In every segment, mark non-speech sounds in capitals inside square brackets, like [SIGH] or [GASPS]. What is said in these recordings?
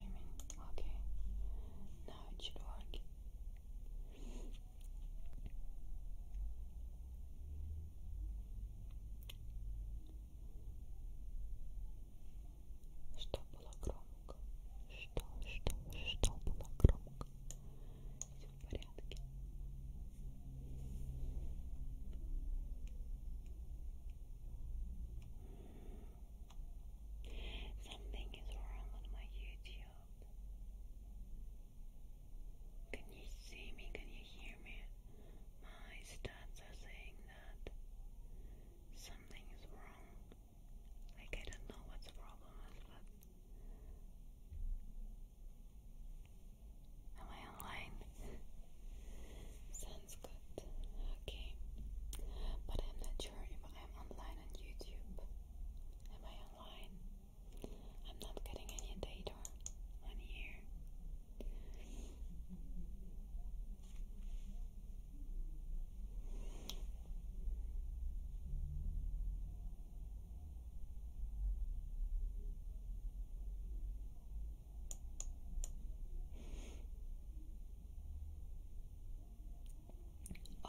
I mean, okay. Now it should work. Что было громко? Что, что, что было громко? Все в порядке. Something is wrong on my YouTube. Can you see me? Can you hear me? My stats are saying that something is wrong. Like, I don't know what's the problem is, but. Am I online? Sounds good. Okay. But I'm not sure if I'm online on YouTube. Am I online? I'm not getting any data on here.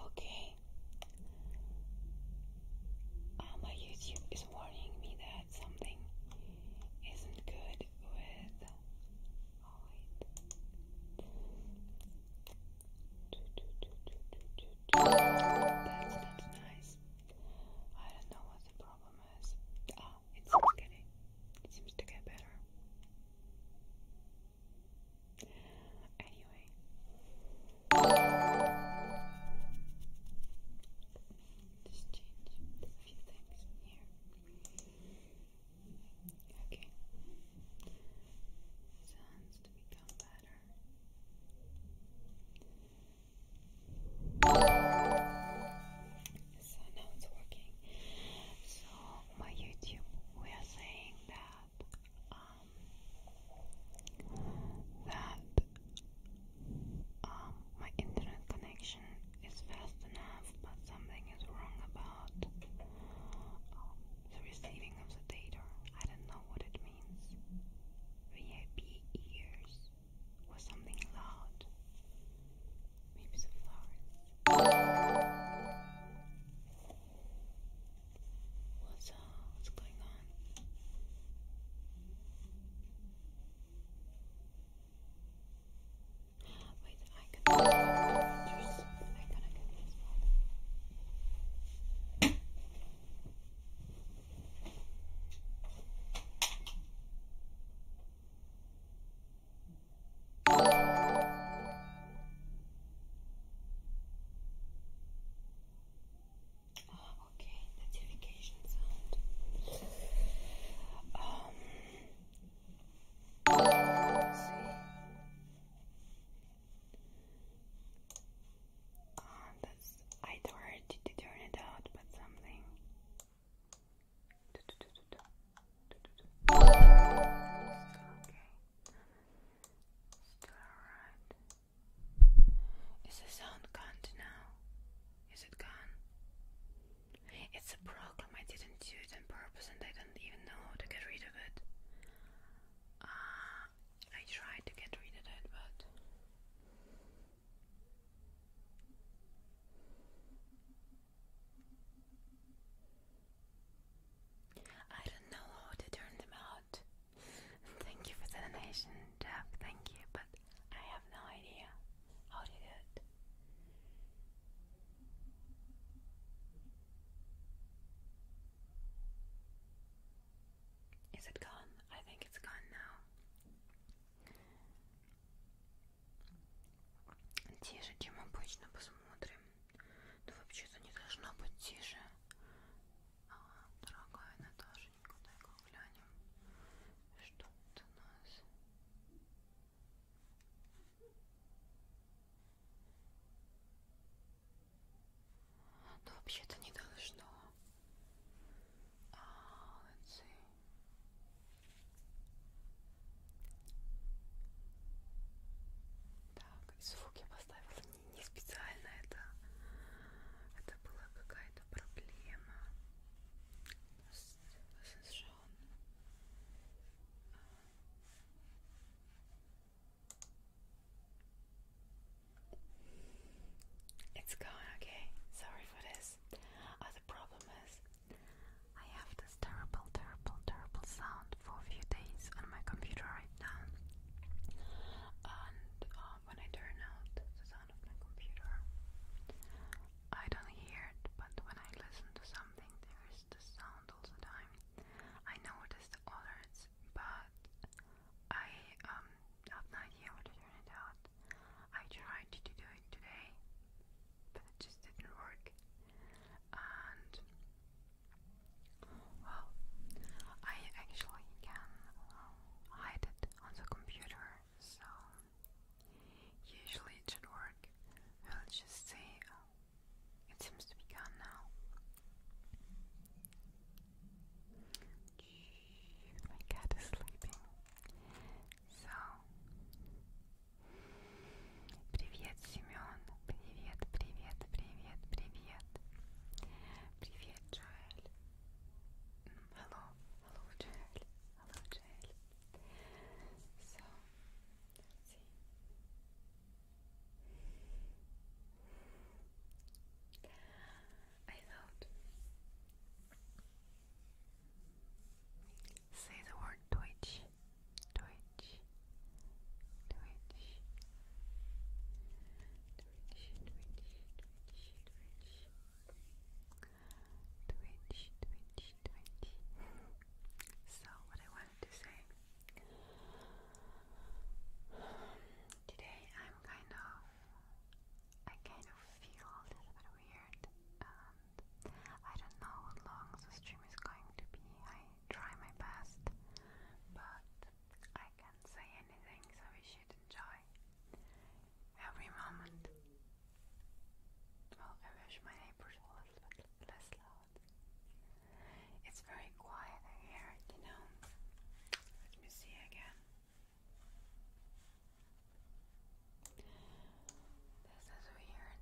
Okay. Uh, my YouTube is warning me that something isn't good with. Oh, wait. That's not nice. I don't know what the problem is. Ah, oh, getting. It seems to get better. Anyway. Just change a few things here. Okay. Sounds to become better. So now it's working. So my YouTube were saying that um, that um, my internet connection is fast enough, but something is wrong about um, the receiving of the data. I don't know what it means. VIP ears or something loud. Maybe the flowers. What's uh, what's going on? Wait, I can I gotta get this one. Oh, okay, notification sound. Um, let's see. Uh, that's, I tried to turn it out, but something. Okay. Is the sound gone now? Is it gone? It's a problem. I didn't do it on purpose and I don't even know how to get rid of it. Uh, I tried to get rid of it, but. I don't know how to turn them out. Thank you for the donation, Jeff. Thank you, but I have no idea how to do it. Is it gone? I think it's gone now. Тише, чем обычно, посмотрим. Но ну, вообще-то не должно быть тише. Ага, дорогая Наташенька, дай-ка глянем, что тут у нас. Ну вообще-то не должно. А, let's see. Так, звук я поставила не, не специально, это, это была какая-то проблема с, с Жан. It's gone, okay. Sorry for this. Uh, the problem is I have to terrible, terrible, terrible sound for a few days on my computer right now. And uh, when I turn out the sound of my computer, I don't hear it, but when I listen to something, there is the sound all the time. I notice the alerts, but I um, have no idea how to turn it out. I tried to do it today, but it just didn't work. And well, I actually can um, hide it on the computer, so usually it should work. we just say it seems to be gone now. My cat is sleeping, so Привет, Семен. Привет, привет, привет, привет. Привет, Джоэль. Hello, hello, Joel. Hello, Joel. So, let's see. I thought say the word Twitch Twitch, Twitch, Twitch, Twitch, Twitch. Twitch, Twitch, Twitch. so, what I wanted to say today, I'm kind of, I kind of feel weird, and I don't know how long the stream is going to be try my best, but I can't say anything, so we should enjoy every moment. Well, I wish my neighbors were a little less loud. It's very quiet here, you know. Let me see again. This is weird.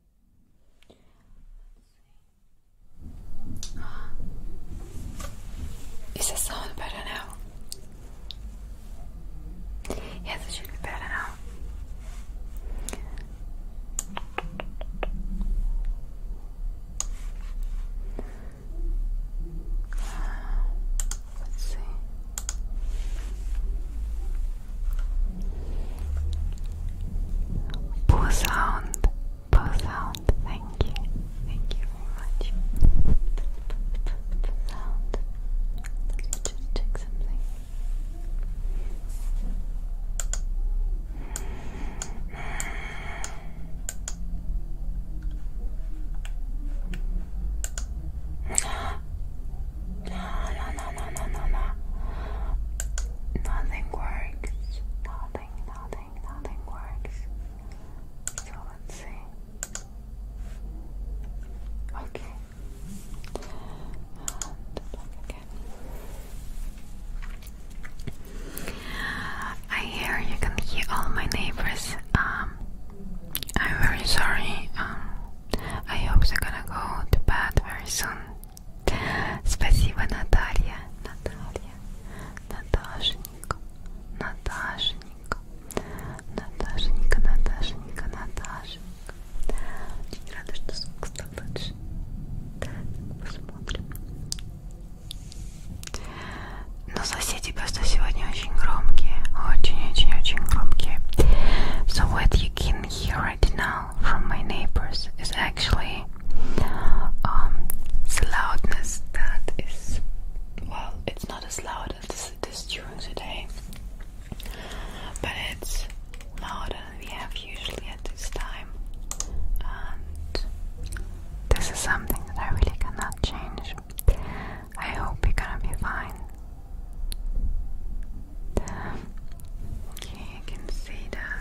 Let's see. Is the sound better now? Yes, it should be better now. Let's see. Poo sound, poo sound, thank you, thank you sound. just check something. [GASPS] No, no, no, no, no, no, Nothing worse. Nothing, nothing, nothing works. So let's see. Okay. And I hear you can hear all my neighbors. Um, I'm very sorry. Um, I hope they're gonna go to bed very soon. Спасибо, Наталья, Наталья, Наташенька, Наташенька, Наташенька, Наташенька, Наташенька. Очень рада, что звук стал лучше. Посмотрим. Но соседи просто сегодня очень громкие, очень-очень-очень громкие. So what you can hear already know from my neighbors is actually um, the loudness that is, well, it's not as loud as it is during the day, but it's louder than we have usually at this time, and this is something that I really cannot change. I hope you're gonna be fine. Okay, I can see that.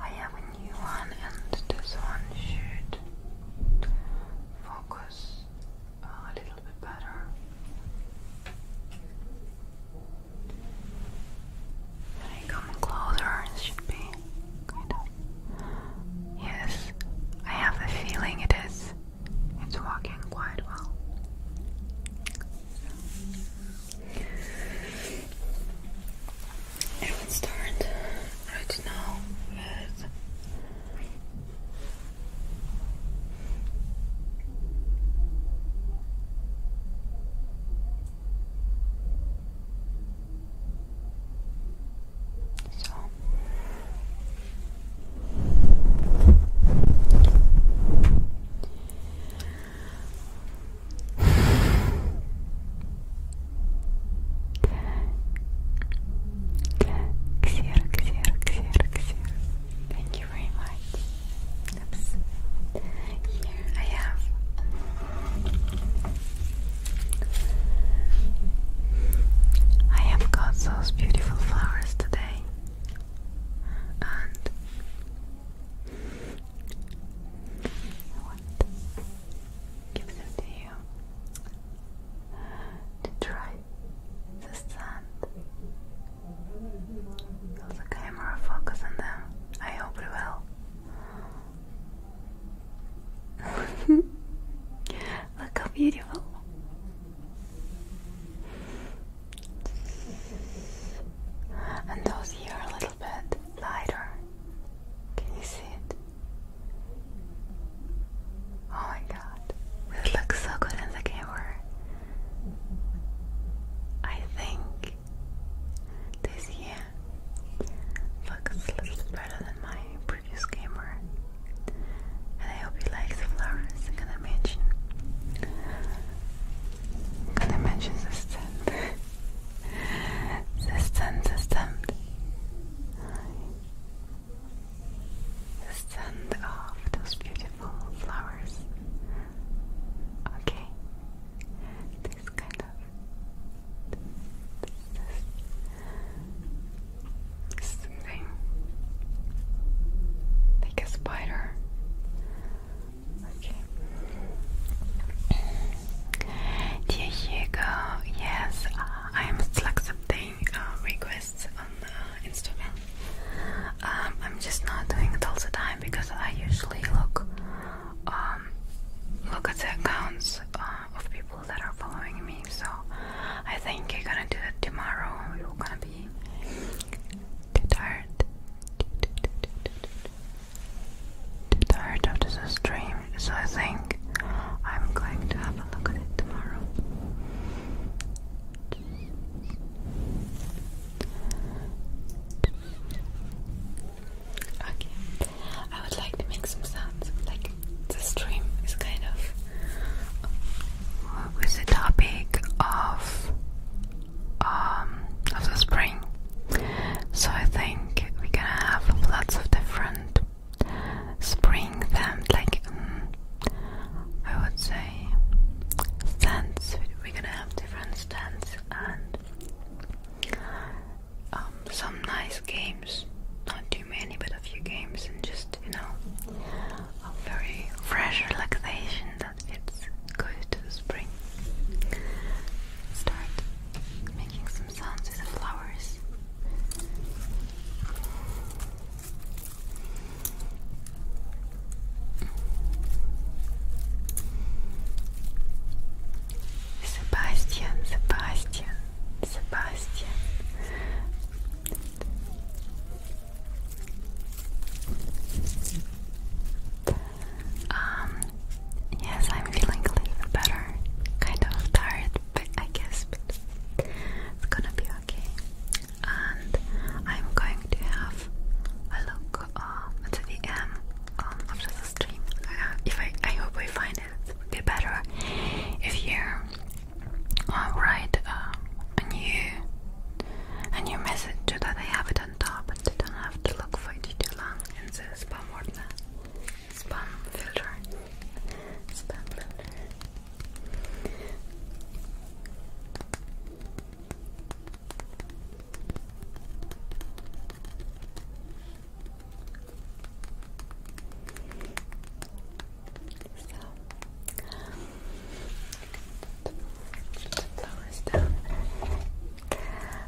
I have a new one, and this one should focus a little bit better. I come closer, it should be kind of. Yes, I have a feeling it is. It's working quite well. I will start right now with so Xer, Xer, Xer, Xer. Thank you very much. Oops. Here I have I have got those beautiful flowers today and gives it to you to try the sand. Will the camera focus on them? I hope it will. [LAUGHS] Look how beautiful. And those here are lighter. Can you see it? Oh my god, this looks so good in the camera. I think this year looks better than my previous camera. And I hope you like the flowers. I'm going i mention the [LAUGHS] System, system. The scent of those beautiful flowers. Okay. This kind of this, this like a spider. Okay. Dear yes, uh, I am still accepting uh, requests on uh, Instagram. Um, I'm just not doing it all the time because I usually look um, look at the accounts of people that are following me. So I think you're gonna do it tomorrow. You're gonna be too tired too tired of this stream, so I think I'm going to have a look at it tomorrow. Okay, I would like to make some sounds. Like the stream is kind of with the topic of um of the spring. So I think we're gonna have lots of different spring themed, like um, I would say, stands. We're gonna have different stands and um, some nice games. Not too many, but a few games, and just you know, a very fresh relaxation that it's good to the spring. Start making some sounds the flowers. Sebastian, Sebastian, Sebastian. Um, yes, I'm feeling a little better. Kind of tired, but I guess it's gonna be okay. And I'm going to have a look uh, the VM um, after the stream. if I, I hope I find it a bit better. If you uh, write uh, a new a new message so that I have it on top and I don't have to look for it too long in the spam spam filter. Spam filter. So, um, put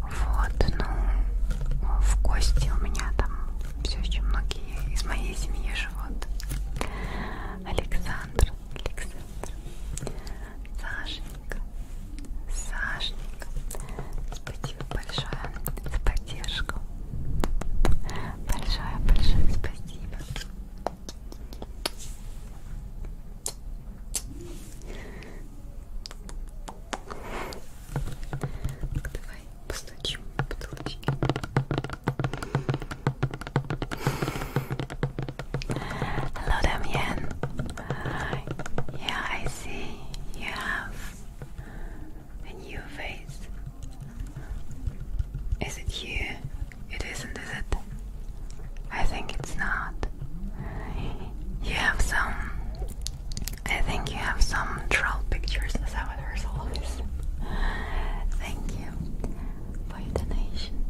Вот, ну, в гости у меня там все еще многие из моей семьи живут. Александр, Александр, Сашенька, Сашенька, спасибо большое за поддержку. Большое-большое спасибо. Hello, Damien. Uh, yeah, I see you have a new face. Is it you? It isn't, is it? I think it's not. You have some. I think you have some troll pictures. Is that what resolve is? Thank you for your donation.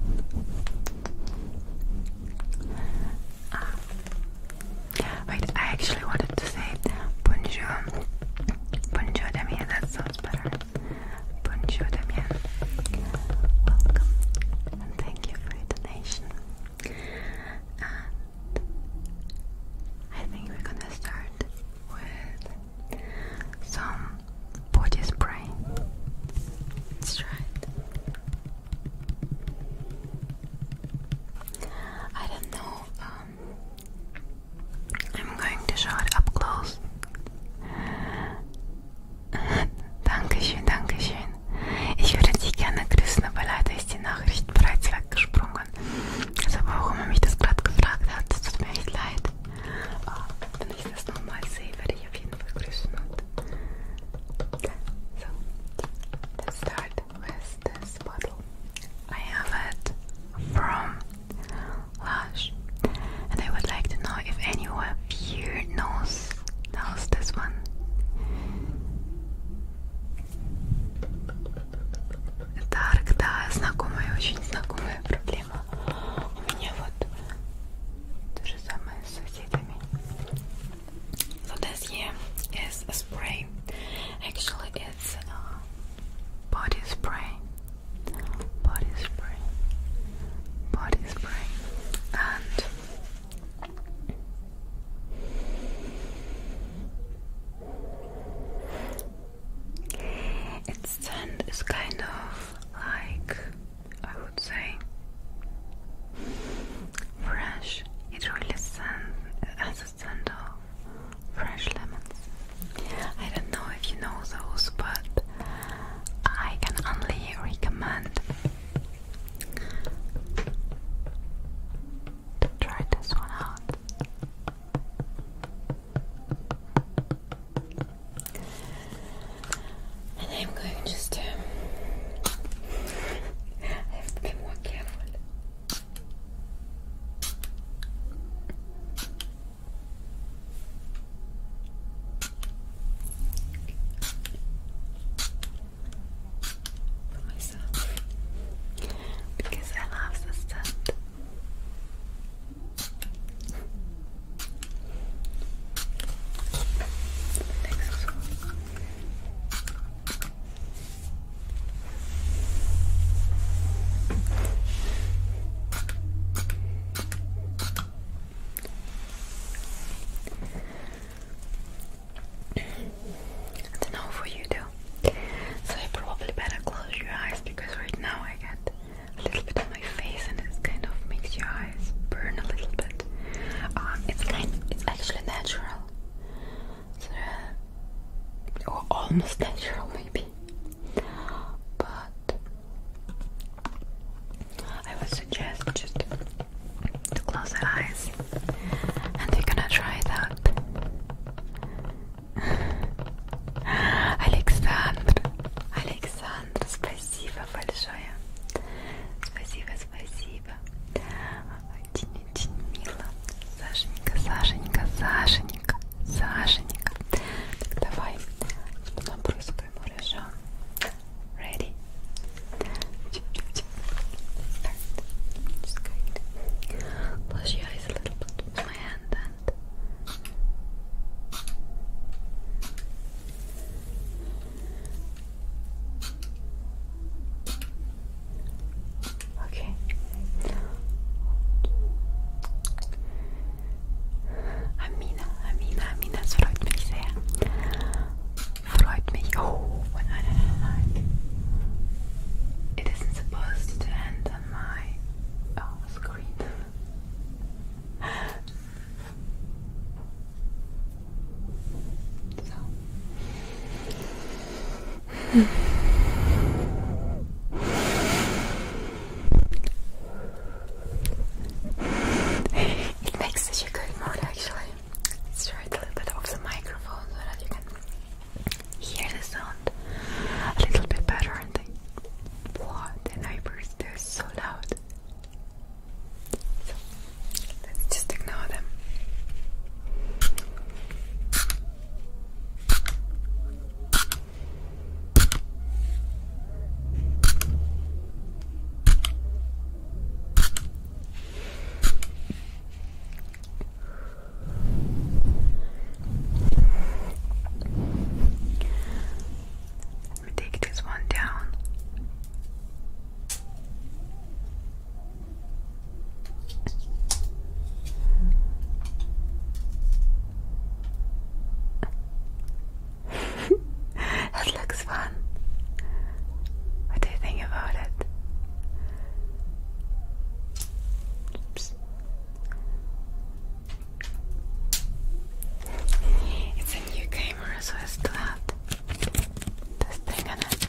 Ah, wait, I actually wanted to say bonjour. Bonjour, Damien. That sounds better. Bonjour, Damien. Welcome and thank you for your donation. I think we're gonna start with some body spray. Let's I don't know. Um, I'm going to show it up close. [LAUGHS] Dankeschön, Dankeschön. Ich würde gerne grüßen, aber leider ist die Nachricht bereits weggesprungen. Also warum er mich das gerade gefragt hat, tut mir echt leid. Oh, ich das nochmal sehe, werde ich auf jeden Fall grüßen. so, let start with this bottle. I have it from Lush, and I would like to know if anyone of you knows How's this one? Дарк, да, знакомая, очень знакомая проблема. У меня вот то же самое с соседями. So this here is a spray. Actually, it's a uh, body spray. Body spray. Body spray. And its scent is kind of like, I would say, fresh. It really scent, has a scent of fresh lemons. I don't know if you know those, but I can only recommend Try this one out. And I'm going just to. [LAUGHS] I have for myself because I love this scent. Next it's no for you too. So you probably better close your eyes because right now I get a little bit on my face and it kind of makes your eyes burn a little bit. Um, it's kind, it's actually natural. Uh, or almost natural maybe. But I would suggest just to close their eyes, and we're gonna try it out. Александр, Александр, спасибо большое, спасибо, спасибо, очень-очень мило, Сашенька, Сашенька, Сашенька, Сашенька. Так давай, набрызгаем хорошо. Ready? Just going to close your eyes a little my hand and Okay. Amina, Amina, Amina, srójmy się freut mich. not supposed to end on my oh, screen. so. [LAUGHS] it makes such a good mood actually straight a little bit off the microphone so that you can hear the sound a little bit better. And the, what the neighbors, they so loud. let's just ignore them. Let me take this one down. [LAUGHS] that looks fun. What do you think about it? Oops. It's a new camera, so I still have this thing on it.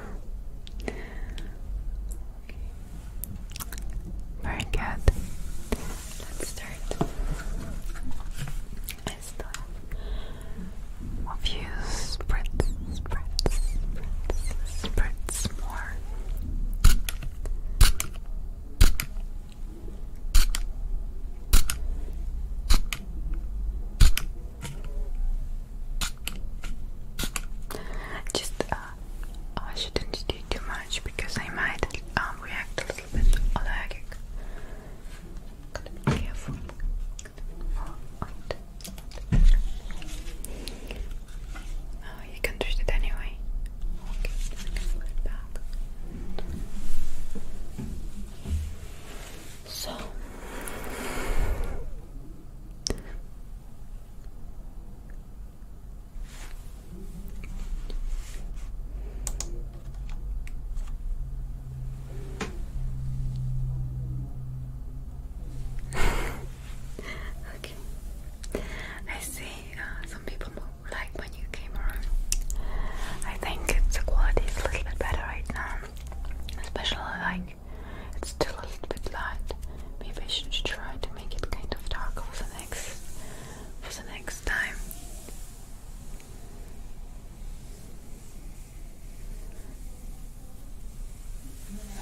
Okay. Very good. Let's start. I still have a few spritz, spritz, spritz, spritz more. Just uh, I shouldn't do too much because I might um, react a little bit allergic. careful. Oh, you can twist it anyway. Okay, put it back. So, [LAUGHS] okay. I see uh, some people like my new camera. I think the quality is a little bit better right now, especially like it's still a little bit light. Maybe I should try to make it kind of dark for the next for the next time.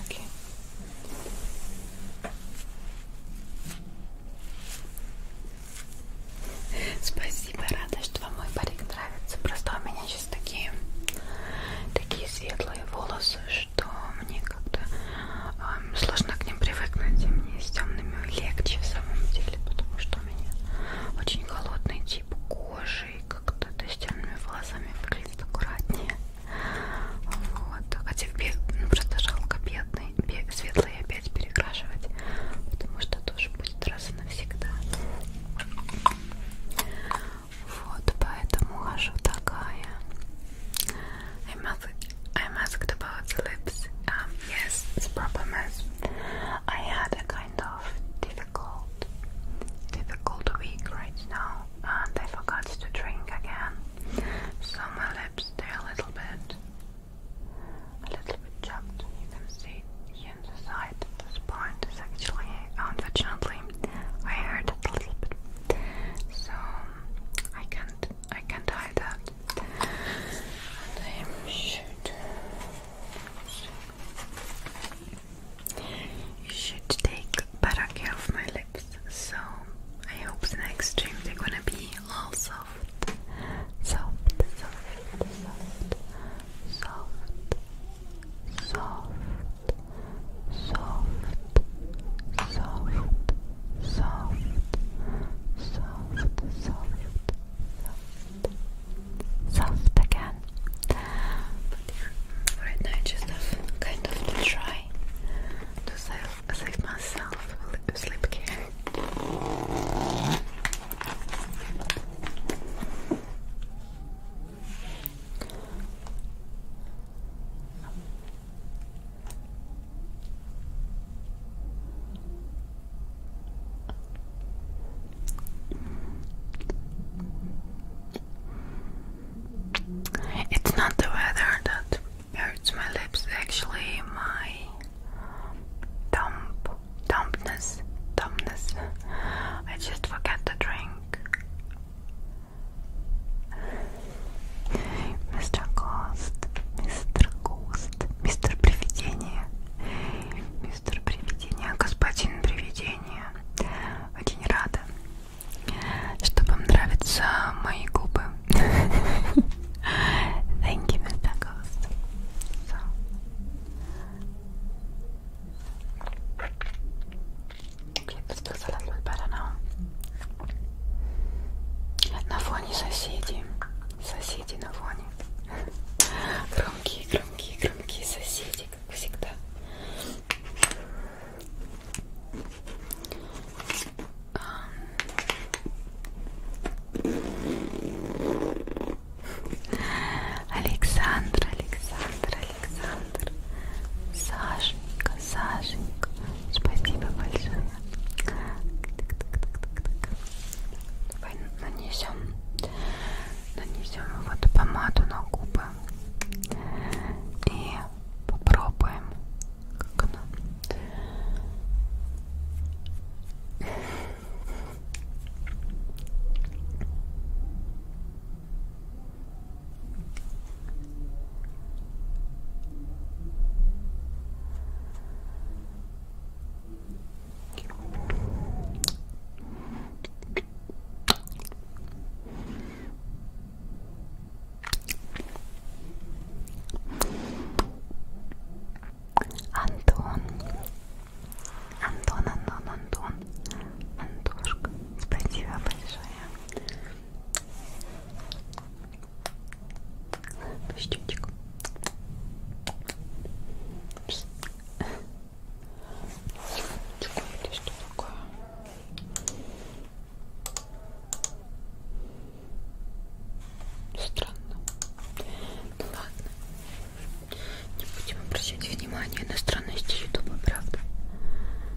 Okay. Спасибо, рада, что вам мой парик нравится. Просто меня сейчас такие такие светлые волосы, что мне как-то э, сложно к ним привыкнуть, и мне с темными легче в самом деле, потому что у меня очень холодный тип кожи, и как-то да, с темными волосами выглядит аккуратнее. Вот. Хотя а ну, просто жалко бедный, бед, светлые опять перекрашивать, потому что тоже будет раз и навсегда. Вот, поэтому хожу такая. I must, i asked about the lips. Um, yes, the problem is I had a kind of difficult, difficult week right now, and I forgot to drink again, so my lips they a little bit, a little bit chapped. You can see here This point is actually, unfortunately, I heard a little bit, so I can't I can't hide that. And I am should you should take better care of my lips. So I hope the next stream they're gonna be all soft, soft, soft, soft, soft, soft soft, soft, soft, soft, soft, soft, soft again. But yeah, right now I just have kind of to try to save, save myself a sleep care. It's not the weather that hurts my lips, actually, my dump, dumpness, dumbness. I just forget to drink Мистер Гост, мистер Гост, мистер Привидение, мистер Привидение, господин Привидение. Очень рада, что вам нравятся мои губы. Thank you, Mr. Ghost. So. Okay, this looks a little bit better now. На фоне соседи. Соседи на фоне. Громкие, громкие, громкие соседи, как всегда. Александр, Александр, Александр, Сашенька, Сашенька, спасибо большое. Давай нанесем, нанесем вот помаду на губы и попробуем, как она. М Антон, Антон, Антон, Антон, Антошка, спасибо большое Пустечек. Это что такое? Странно. Ну ладно. Не будем обращать внимание на странности Ютуба, правда?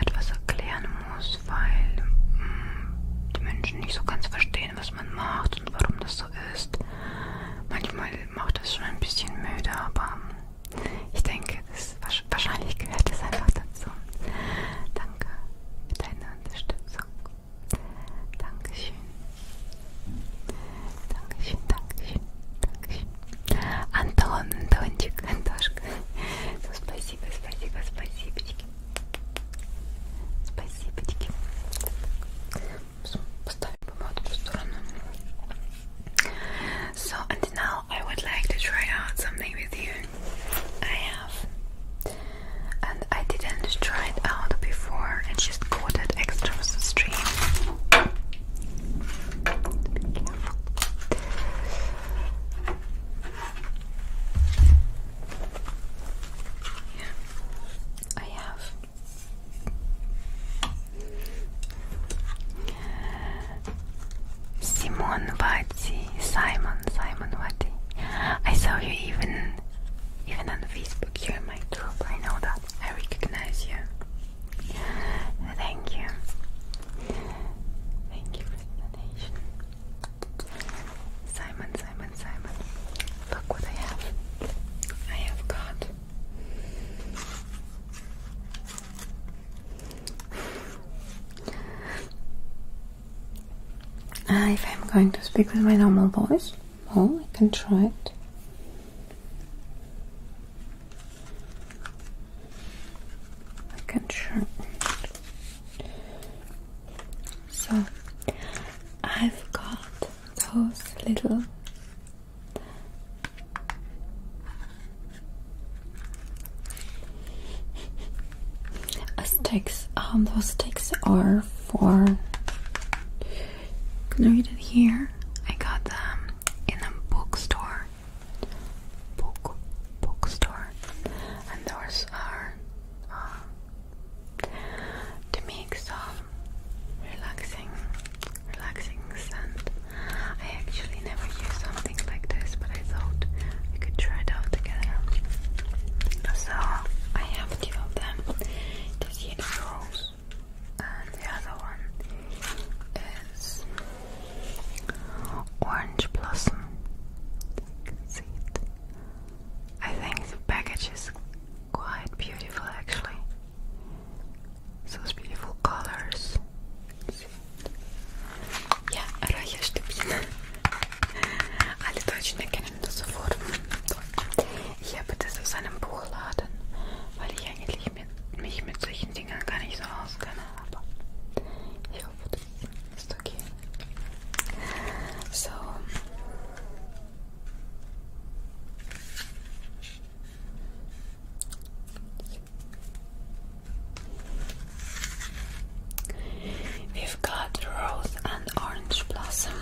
etwas erklären muss, weil mh, mm, die Menschen nicht so ganz verstehen, was man macht und warum das so ist. Manchmal macht das schon ein bisschen müde, aber mm, ich denke, das wahrscheinlich gehört es einfach dazu. Danke für deine Unterstützung. Dankeschön. Dankeschön, Dankeschön, Dankeschön. Anton, Antonчик, Antoschka. So, Спасибо, спасибо, спасибочки. Спасибочки. Поставим помадку в сторону. So, and now I would like to try out something with you. I have. And I didn't try it out before, I just got it extra for the stream. Be careful. Yeah, I have. Simon Vati, Simon, Simon Vati. I saw you even, even on Facebook. You're my troop. I know that. I recognize you. Thank you. Thank you Simon, Simon, Simon, look what I have. I have got uh, if I'm going to speak with my normal voice, oh, I can try it. Second shirt. So I've got those little sticks. Um, those sticks are for. Can I read it here? I got them in a bookstore book bookstore, and those are um, to make some relaxing, relaxing sound. I actually never used something like this, but I thought we could try it out together. So I have two of them. This here is rose, and the other one is. Orange Blossom. You see it. I think the package is quite beautiful actually. Those beautiful colors. Я Рая Штепина. Alle Deutschen erkennen das sofort. Ich habe das aus einem Buchladen, weil ich eigentlich mit, mich mit solchen Dingen gar nicht so auskenne. Aber ich hoffe, das ist okay. So we've got rose and orange blossom.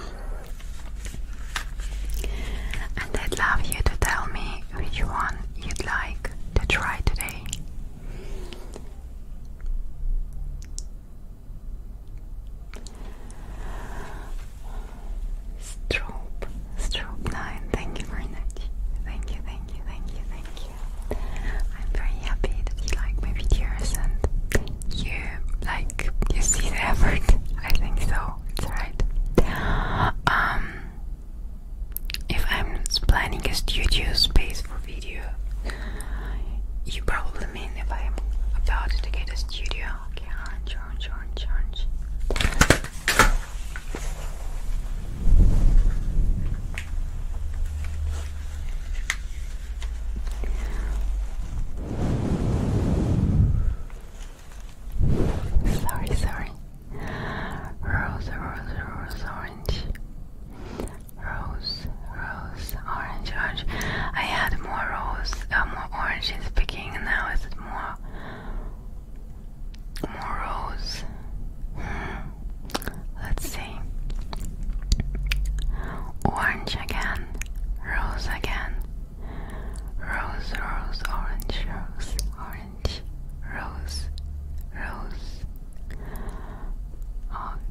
And I'd love you to tell me which one you'd like to try today. Strobe, strobe nine. Thank you very much. Thank you, thank you, thank you, thank you. I'm very happy that you like my videos and you like you see the effort. I think so. It's right. Um if I'm planning a studio space for video, you probably mean if I'm about to get a studio. Okay, orange, orange, orange, orange. Sorry, sorry. Rose, rose, rose, orange. Rose, rose, orange, orange. I had more rose, uh, more orange in the beginning. Now is it more, more rose? Hmm. Let's see. Orange again, rose again. Rose, rose, orange, rose, orange, rose, rose,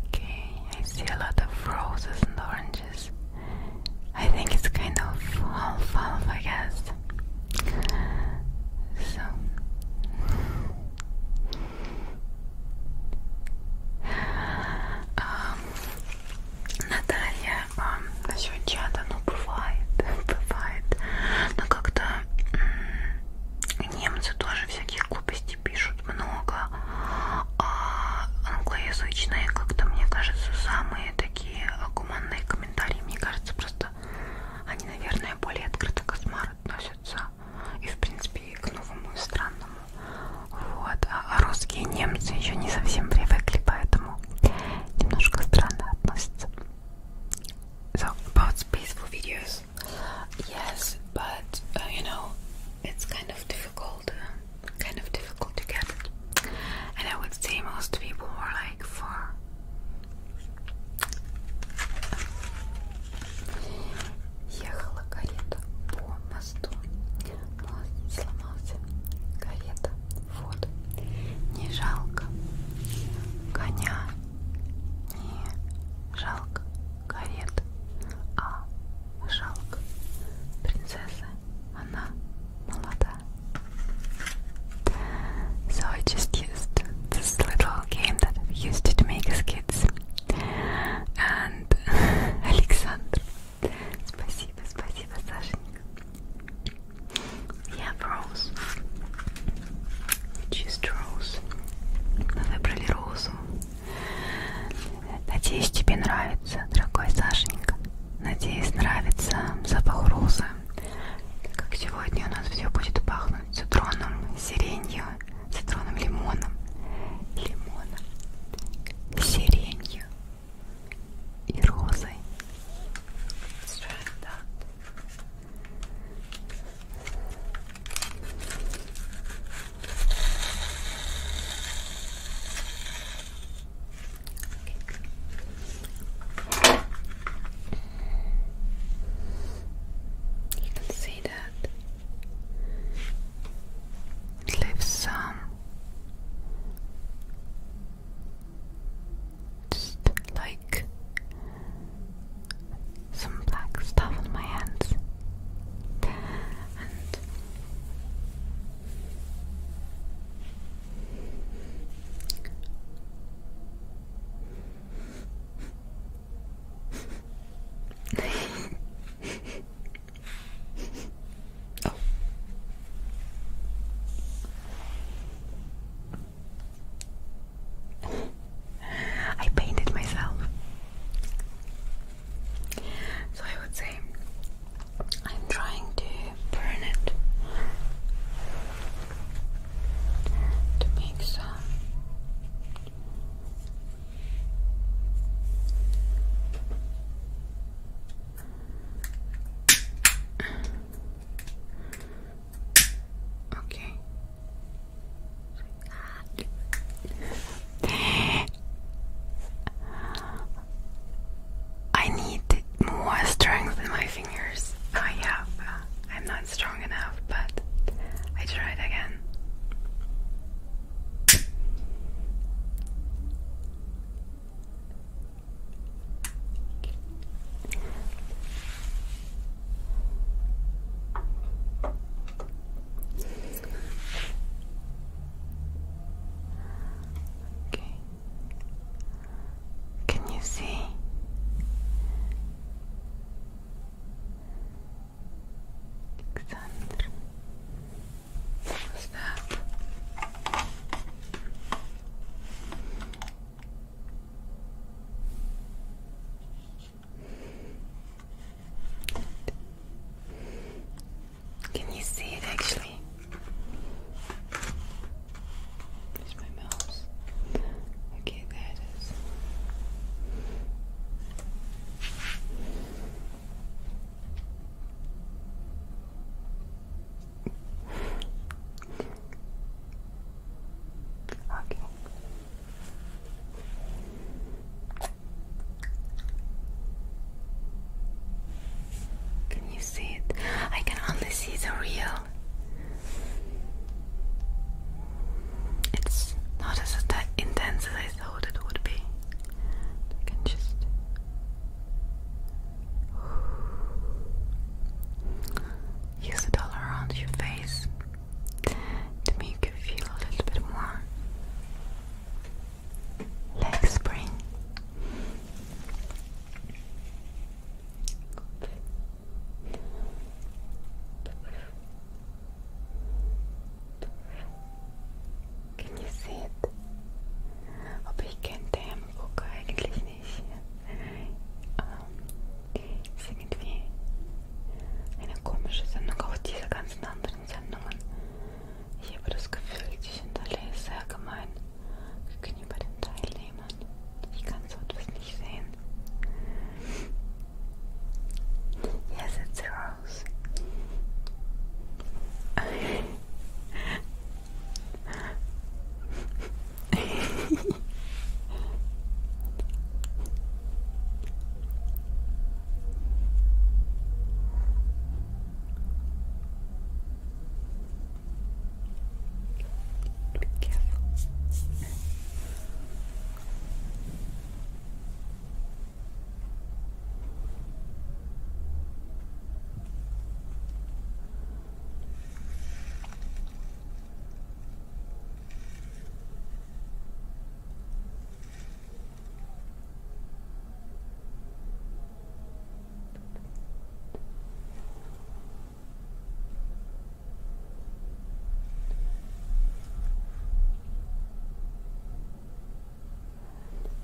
Okay, I see a lot of roses and oranges. I think it's kind of alfalfa, I guess. So. Um, Наталья, um, насчет чата, [LAUGHS] ну бывает, бывает, но как-то немцы тоже всякие глупости есть пишут много, а англоязычные как-то, мне кажется, самые такие гуманные комментарии. Мне кажется, просто они, наверное, более открыто к Асмару относятся. И, в принципе, и к новому и странному. Вот. А, а русские немцы еще не совсем привыкли, поэтому немножко странно относятся. So, about spaceful videos. yes, yes, but uh, you know, it's kind of difficult, uh, kind of difficult to get it. And I would say most people were like for ехала карета по мосту, мост сломался, карета в воду, не жалко коня, не жалко so I just used this little game that we used to make as kids. And Alexander, [LAUGHS] спасибо, спасибо, Сашенька. We have rose. rose. Мы выбрали розу. Надеюсь, тебе нравится, дорогой Сашенька. Надеюсь, нравится запах розы. Как сегодня у нас все будет пахнуть цитроном, сиренью, цитроном, лимоном, лимоном, сиренью и розой. You can see that it leaves some just like some black stuff on my hands. oh. [LAUGHS] I painted myself. So I would say I'm trying to burn it to make some [CLEARS THROAT] okay I need more strength in my fingers. I oh, have. Uh, I'm not strong enough, but I tried again. Okay. Can you see? Alexander. What can you see it actually? Where's my mouse? Okay, there it is. Okay. Can you see it? I can only see the real. It's not as intense as I thought it would be. I can just. [SIGHS] Use it all around your face to make you feel a little bit more like spring. Can you see it? Aber ich kenne den Gucker eigentlich nicht. Ähm, um, ist irgendwie eine komische Sendung, auch diese ganzen anderen Sendungen. Ich habe das Gefühl, die hinterlege sehr gemein gegenüber den Teilnehmern. Ich kann so etwas nicht sehen. Yes, it's Rose. Careful.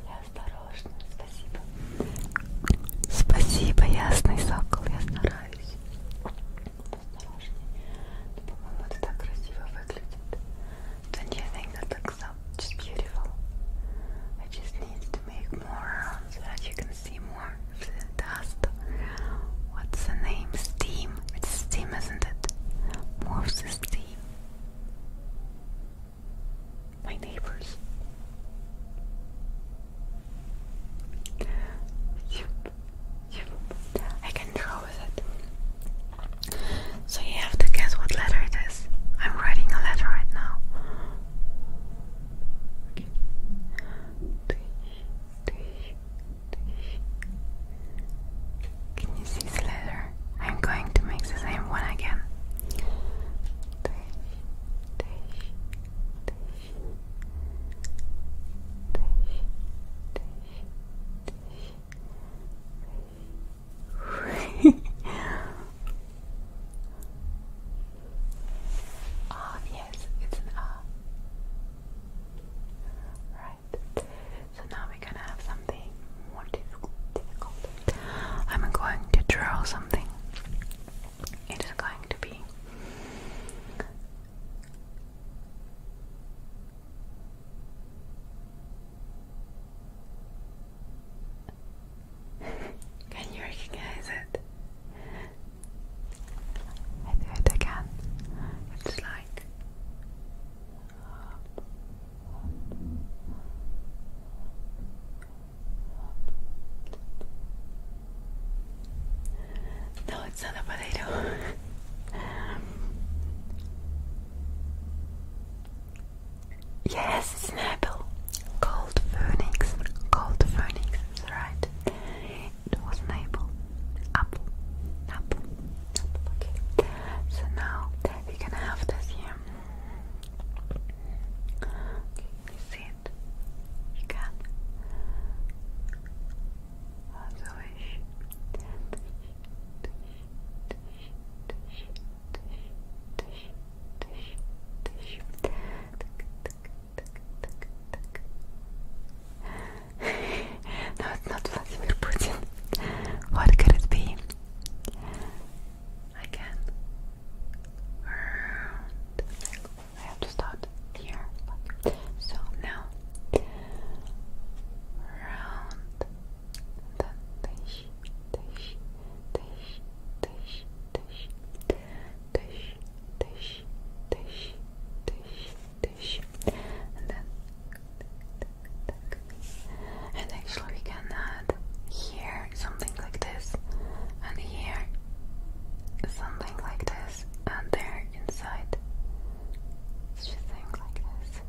Я осторожна, спасибо. Спасибо, ясный сокол, я стараюсь. Осторожней. По-моему, это так красиво выглядит. Don't you think that looks so just beautiful? I just need to make more rounds so that you can see more of What's the name? Steam. It's steam, isn't it? Moves steam. My neighbors. Yep. Yep. I can draw with it. So you have to guess what letter it is. I'm writing a letter right now. Can you see this letter? I'm going to make the same one again. [LAUGHS] ah, yes, it's an ah. Right. So now we're gonna have something more difficult. I'm going to draw something. It is going to be [LAUGHS] can you recognize it? I do it again. It's like [LAUGHS] no, it's not a [LAUGHS] potato. Yes, Snapple. Cold Phoenix. Cold Phoenix, right. It was apple. Apple. Apple. okay. So now we can have this here. you see it? You can. As I [LAUGHS] no, it's not Vladimir Putin. What could it be? I can. I have to start here. So now Deixe, deixe, deixe, deixe, deixe, deixe, deixe, deixe, deixe, deixe, and then, and actually we can add here something like this, and here something like this, and there inside something like this.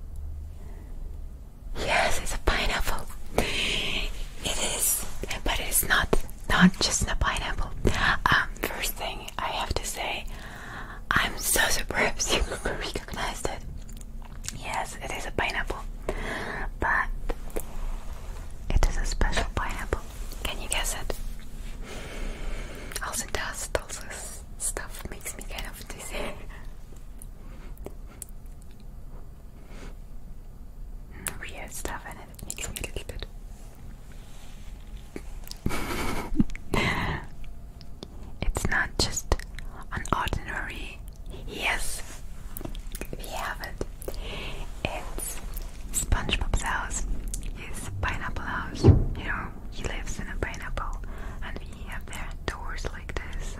Yes, it's a pineapple. It is, but it's not not just a pineapple. Um, first thing I have to say, I'm so surprised [LAUGHS] you recognized it. Yes, it is a pineapple, but it is a special pineapple. Can you guess it? Also, dust, also stuff makes me kind of dizzy. [LAUGHS] weird stuff and it makes me a little bit it's not just an ordinary yes we have it it's SpongeBob's house his pineapple house you know he lives in a pineapple and you have their doors like this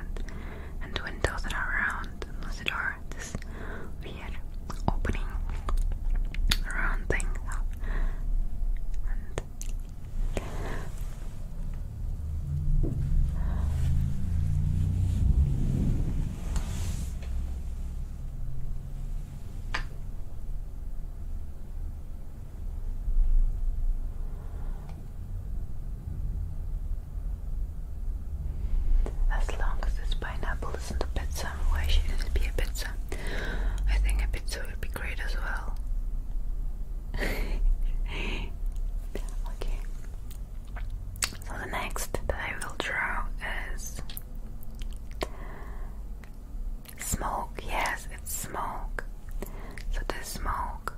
and windows that are round unless it are this opening round thing as long as this pineapple isn't a pizza, why shouldn't it be a pizza? I think a pizza would be great as well. [LAUGHS] okay. So the next that I will draw is smoke. Yes, it's smoke. So this smoke.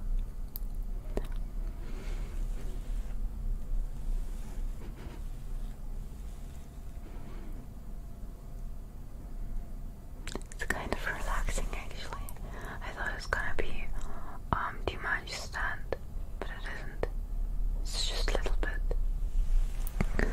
It's kind of relaxing actually. I thought it's gonna be um too much stand, but it isn't. It's just a little bit.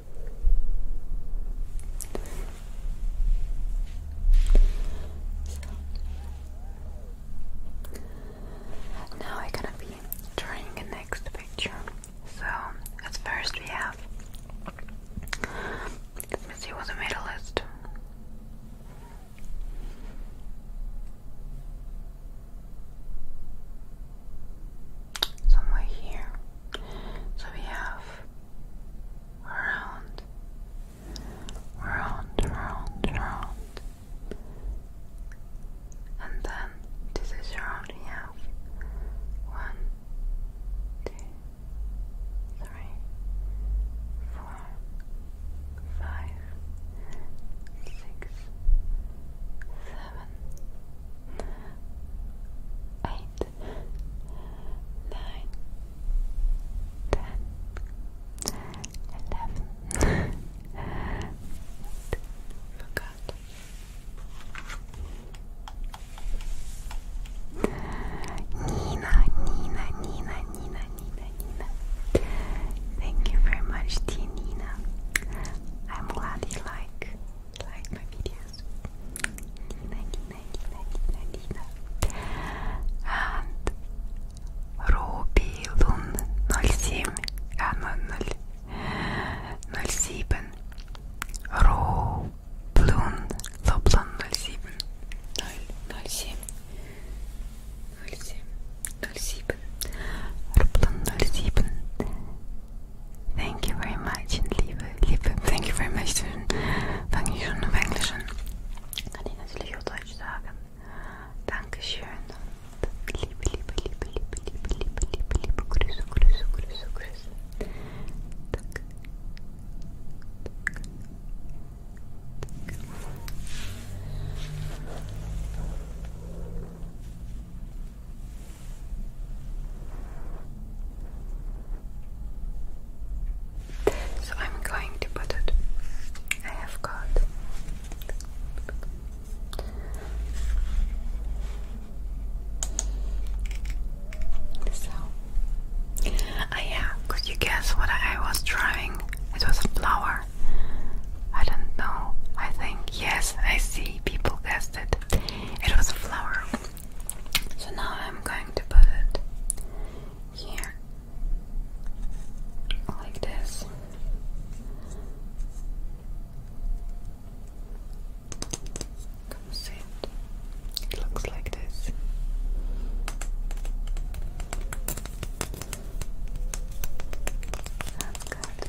So, now we're gonna be drawing the next picture. So, at first we have. Let me see what's the middle list. Somewhere here. So we have round, round, round, round. And then this is round we have one, two, three, four, five, six, seven, eight, nine, ten, eleven. Forgot. Nina, Nina, Nina, Nina, Nina, Nina. Thank you very much, dear Nina. I'm glad you like like my videos. Nina, Nina. And Руби Лун 07, а 07. Ро Блун Лоблон 07. 07. 07. 07. Роблон 07. Thank you very much und liebe, liebe, thank you very much. fange ich schon auf Englisch Kann ich natürlich auch Deutsch sagen. Dankeschön und liebe, liebe, liebe, liebe, liebe, liebe, liebe, liebe Grüße, Grüße, Grüße, Grüße. So I'm going to put it. I have got so ah uh, yeah, could you guess what I was drawing? It was a flower. I don't know. I think yes, I see people guessed it. It was a flower. So now I'm going to put it here, like this. Come see it. It looks like this. That's good.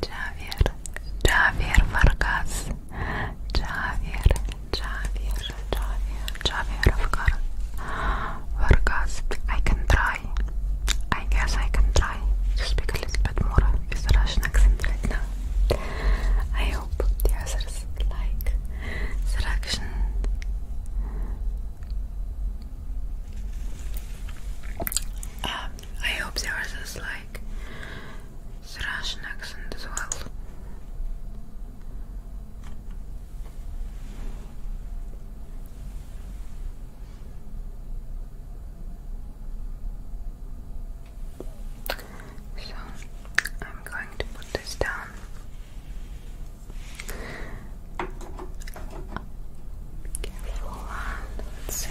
Javier, Javier Vargas, Javier, Javier, Javier, Javier Vargas. Vargas. I can try. I guess I can try to speak a little bit more with a Russian accent right now. I hope the others like the action. Um, I hope the others like it's a Russian accent as well. So I'm going to put this down. Careful, let's see.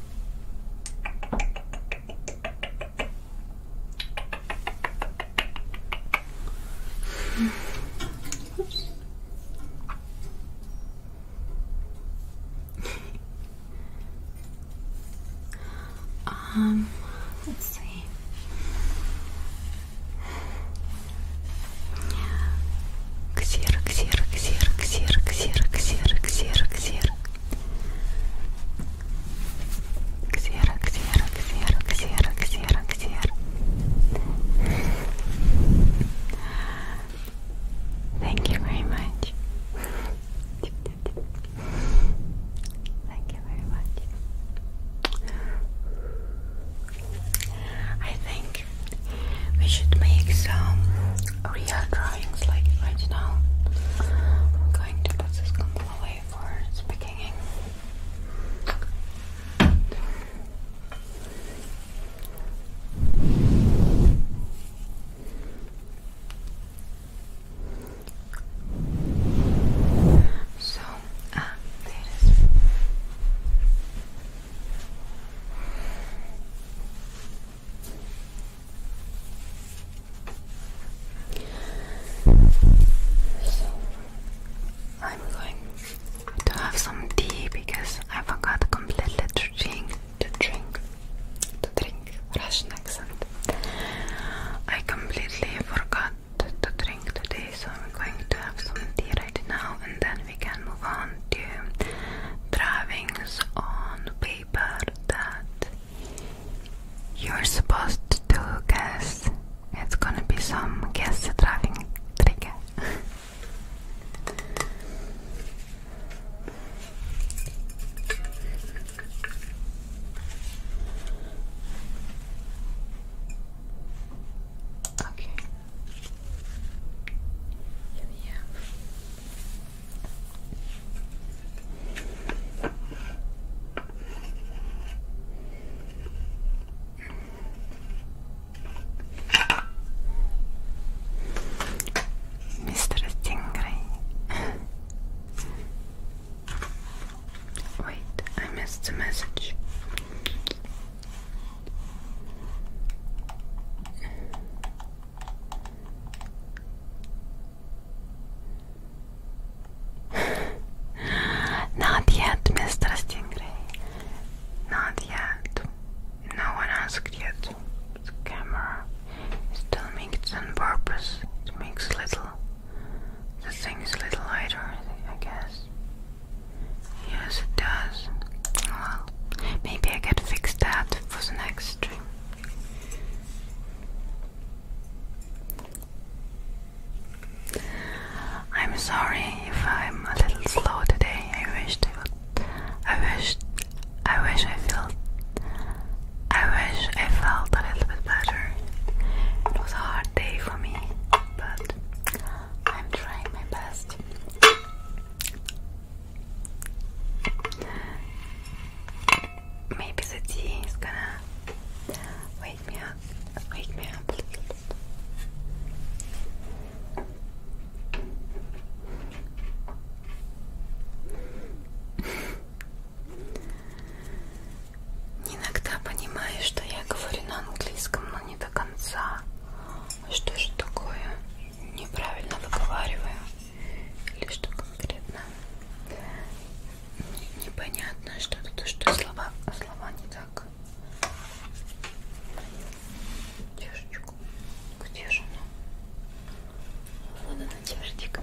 Oops. um, let's see ксерок, ксерок, ксерок, ксерок, ксерок, ксерок, ксерок, ксерок. Ксерок, ксерок, ксерок, ксерок, ксерок, ксерок. Thank you very much. Thank you very much. I think we should make some real drawings like right now. I'm going to put this combo away for its So, ah, there I'm going to have some tea because I forgot completely to drink to drink to drink Russian accent. I completely forgot to drink today, so I'm going to have some tea right now and then we can move on to drawings on paper that you're supposed to guess. It's gonna be some guess driving trick. okay. Here Mr. Stingray. Wait, I missed the message. [LAUGHS] Not yet, Mr. Stingray. Not yet. No one asked yet. The camera still makes on purpose. It makes little. The thing is a little lighter, I guess. Yes, it does. Well, maybe I can fix that for the next trip. I'm sorry if I'm a little slow today. I wish I would. I wish. I wish I felt. I wish I felt a little bit better. It was a hard day for me, but I'm trying my best. Maybe the tea is gonna wake me up. Wake me up. Иногда понимаю, что я говорю на английском, но не до конца. Что же такое? Неправильно выговариваю или что конкретно непонятно что-то то что слова а слова не так чашечку где же она вон она чашечка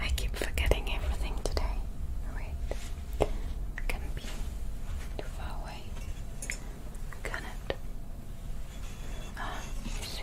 I keep forgetting everything today. Wait, can be too far away? Can it? Ah, you see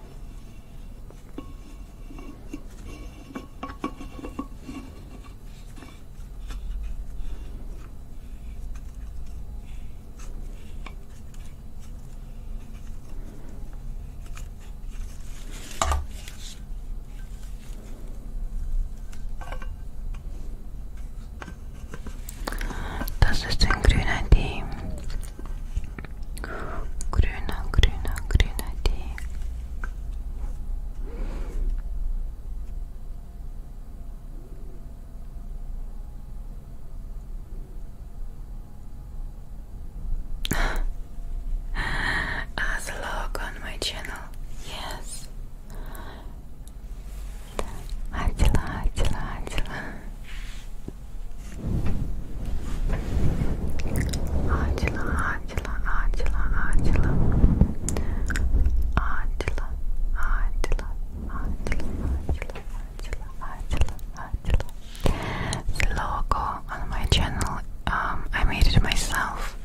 Das ist ein grüner Tee Grüne, grüne, grüne Tee. [LAUGHS] As a log on my channel, yes. Attila, Attila, Attila. Atila, Atila, Atila, Atila. Atila, Atila, Atila, Atila, Atila, Atila, Atila. The logo on my channel, um, I made it myself.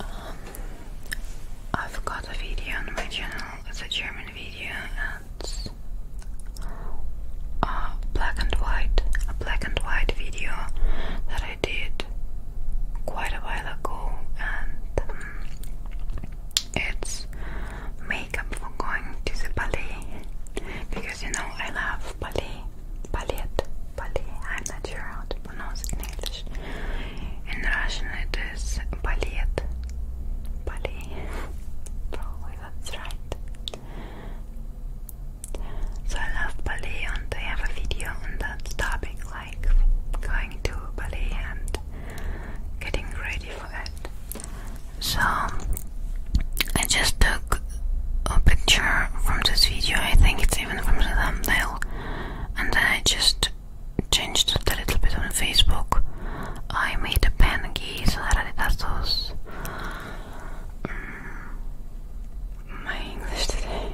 Um, I've got a video on my channel, it's a German one video it's a black and white a black and white video that I did quite a while ago and um, it's makeup for going to the ballet because you know I love ballet ballet ballet I'm not sure how to pronounce it in English in Russian it is ballet ballet [LAUGHS] that's right. So I love ballet and I have a video on that topic, like going to Bali and getting ready for it. So I just took a picture from this video, I think it's even from the thumbnail, and then I just changed it a little bit on Facebook. I made a pen y a Mm, my English today.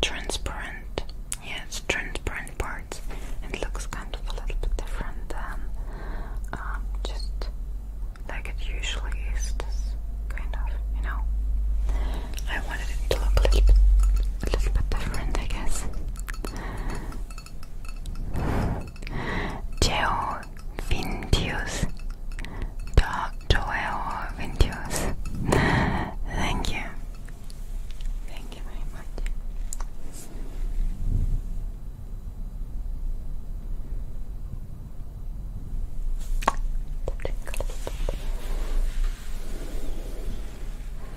Transparent, transparent parts. It looks kind of a little bit different than um, just like it usually is. kind of, you know. I wanted it to look a little, bit different, I guess. Joel Vintius. Joel Vintius. [LAUGHS] Thank you. Thank you very much.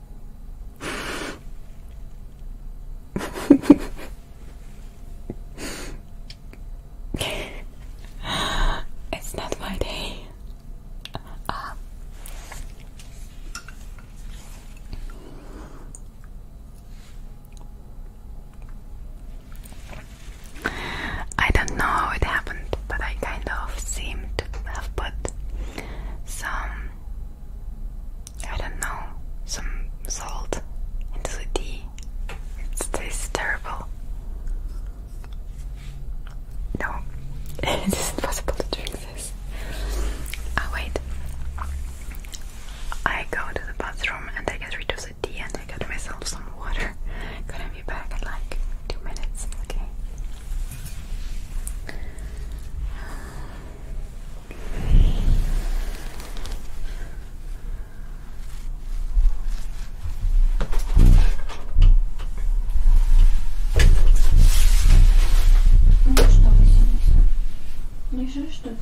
[LAUGHS] it's not my day. I don't know how it happened, but I kind of seemed to have put some I don't know, some salt into the tea. It tastes terrible. No, [LAUGHS] it isn't to drink this. Oh, wait. I go to the bathroom and I get rid of the tea and I get myself some water. [LAUGHS] Gonna be back in like two minutes, okay? Ну что, Василиса, лежишь что-то?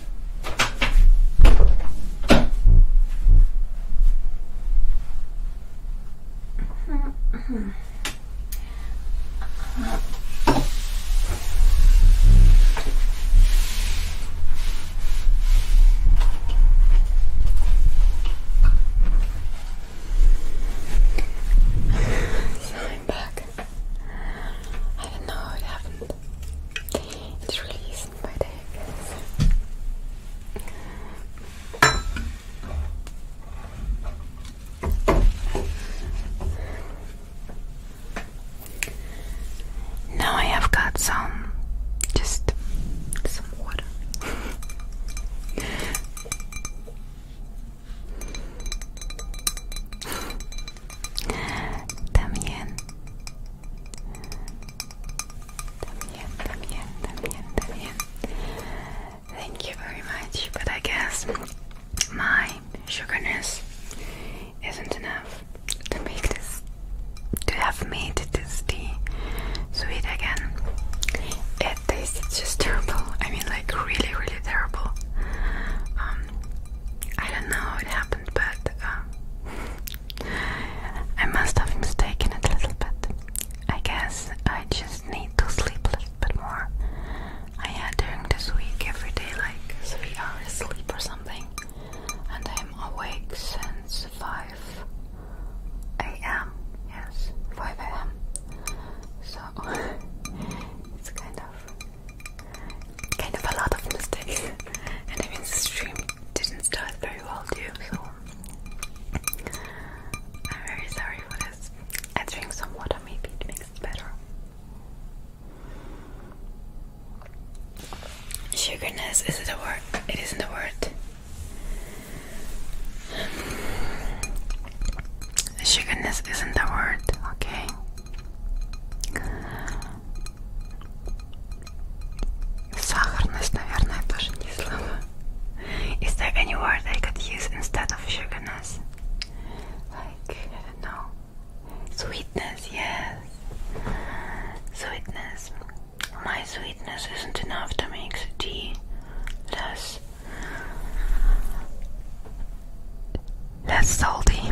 I'm back. I don't know how happened. It's really I Now I have got some, just some water. También Thank you very much, but I guess my sugarness isn't enough to make this, to have made this tea sweet again. It tastes just terrible. I mean, like really, really terrible. Um, I don't know how it happened, but uh, I must have mistaken it a little bit. I guess I just need to sleep a little bit more. I had during this week every day like three hours sleep or something, and I'm awake since 5 a.m. Yes, 5 a.m. So [LAUGHS] it's kind of kind of a lot of mistakes. [LAUGHS] and i even the stream didn't start very well too, so I'm very sorry for this. I drink some water, maybe it makes it better. Sugarness is it a word? It isn't a word. Sugarness isn't a word, okay? Сахарность, наверное, тоже не слово. Is there any word I could use instead of sugarness? Like, I Sweetness, yes. Sweetness. My sweetness isn't enough to make the tea less less salty.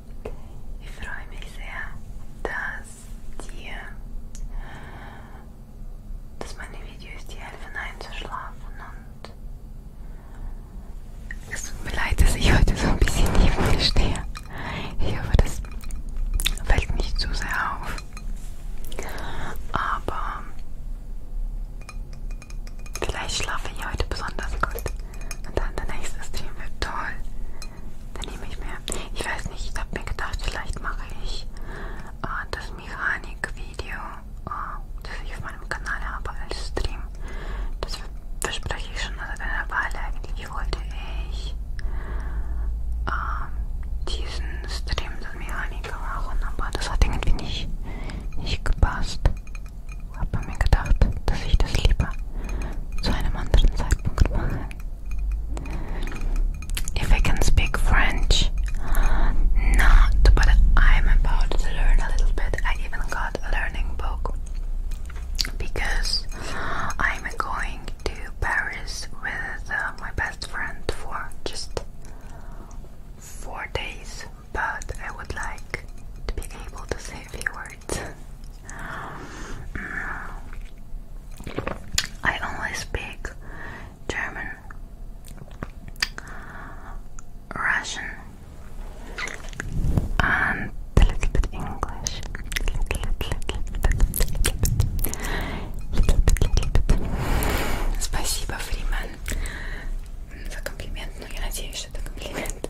Ich freue mich sehr, dass dir, dass meine Videos dir helfen einzuschlafen und es tut mir leid, dass ich heute so ein bisschen neben mir stehe. Ich hoffe, das fällt nicht zu sehr auf. Aber vielleicht schlafe ich heute besonders gut. Und dann der nächste Stream wird toll. Dann nehme ich mir, ich weiß nicht, ich habe mir gedacht, vielleicht mache ich äh, das Mechanik-Video, äh, das ich auf meinem Kanal habe als Stream. Das verspreche ich schon seit einer Weile eigentlich. Wollte ich äh, diesen Stream das Mechanik machen, aber das hat irgendwie nicht, nicht gepasst. Habe mir gedacht, dass ich das lieber zu einem anderen Zeitpunkt If I can speak French, not, but I'm about to learn a little bit. I even got a learning book because I'm going to Paris with uh, my best friend for just four days, but I would like to be able to say a few words. Mm. I only speak German, Russian, and a little bit English. Little, little, little, little bit. Спасибо, Фриман, за комплимент. Ну, я надеюсь, что это комплимент.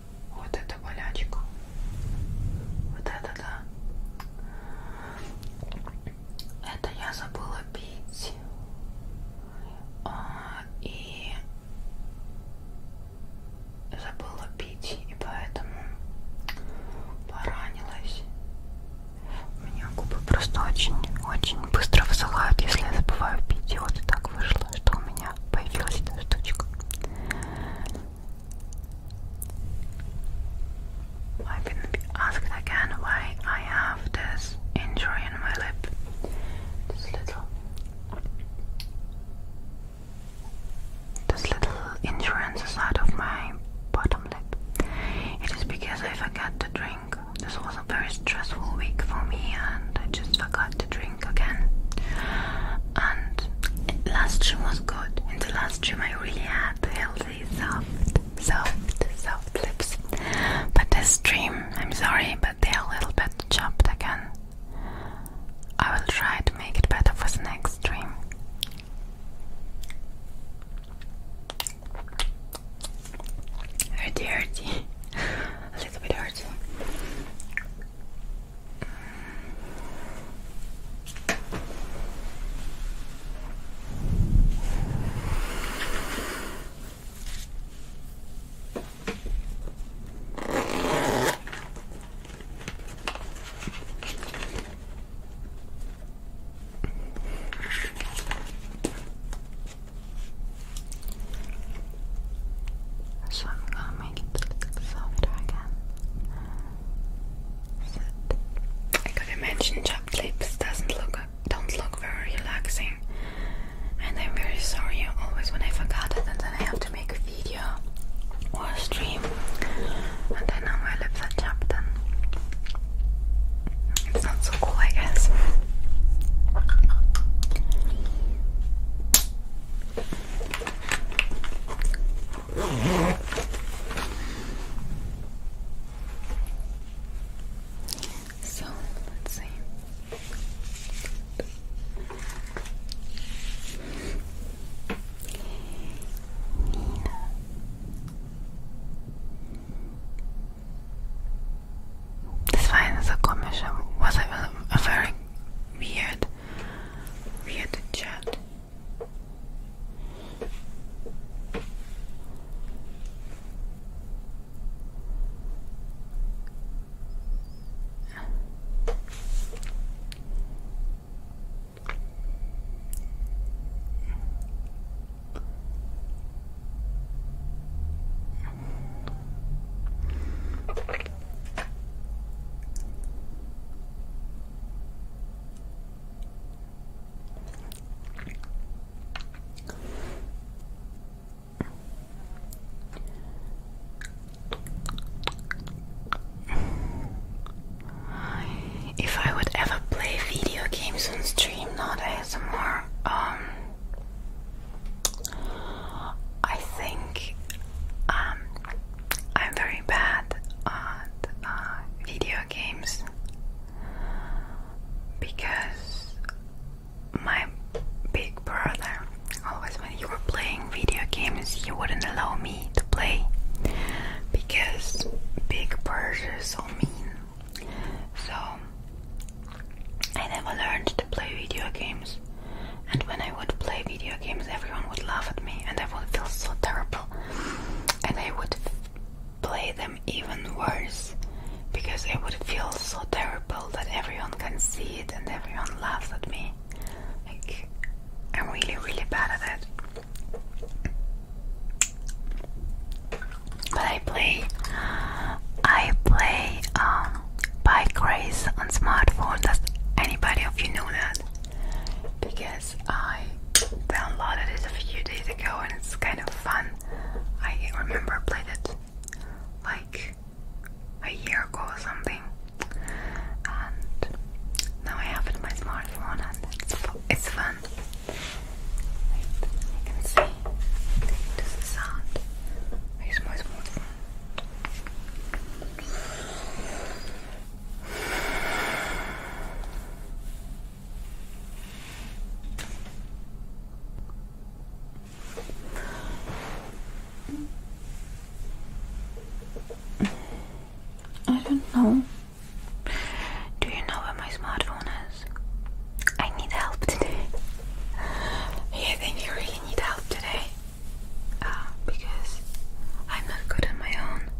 вот это болячка. Вот это да. Это я забыла пить. А, и забыла пить. И поэтому поранилась. У меня губы просто очень-очень быстро высыхают, если я забываю пить. И вот и так вышло, что у меня появилась эта штучка. I've been asked again why I have this injury in my lip. This little this little injury on of my bottom lip. It is because I forgot to drink. This was a very stressful week for me and I just forgot to drink again. And last stream was good. In the last stream, I really had healthy, soft, soft, soft lips. But this stream, I'm sorry, but they're a little bit chopped again. I will try to make it better for the next stream. Hurty, hurty, [LAUGHS] a little bit hurty. So I'm gonna make it a softer again. Sit. I could imagine chapped lips doesn't look don't look very relaxing. And I'm very sorry always when I forgot it and then I have to make a video or stream. And I know my lips are chapped and it's not so cool I guess. So let's see. Yeah. Das was a very weird we had to chat. If I would ever play video games on stream, not ASMR, um, I think um, I'm very bad at uh, video games because my big brother always, when you were playing video games, he wouldn't allow me to play because big brother is so mean. So I never learned to play video games. And when I would play video games, everyone would laugh at me, and I would feel so terrible. And I would play them even worse because I would feel so terrible that everyone can see it and everyone laughs at me. Like, I'm really, really bad at it. But I play, I play um, bike race on smartphone. Does anybody of you know that? because I downloaded it a few days ago and it's kind of fun. I remember I played it like a year ago or something, and now I have it on my smartphone and it's fun. you can see this is sound. Here's my smartphone. I don't know. Do you know where my smartphone is? I need help today. Yeah, I think you really need help today. Ah, because I'm not good on my own.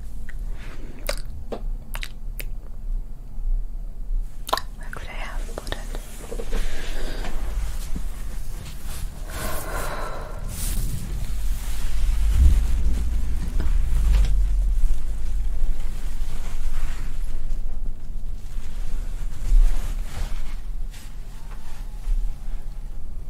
Where could I have put it?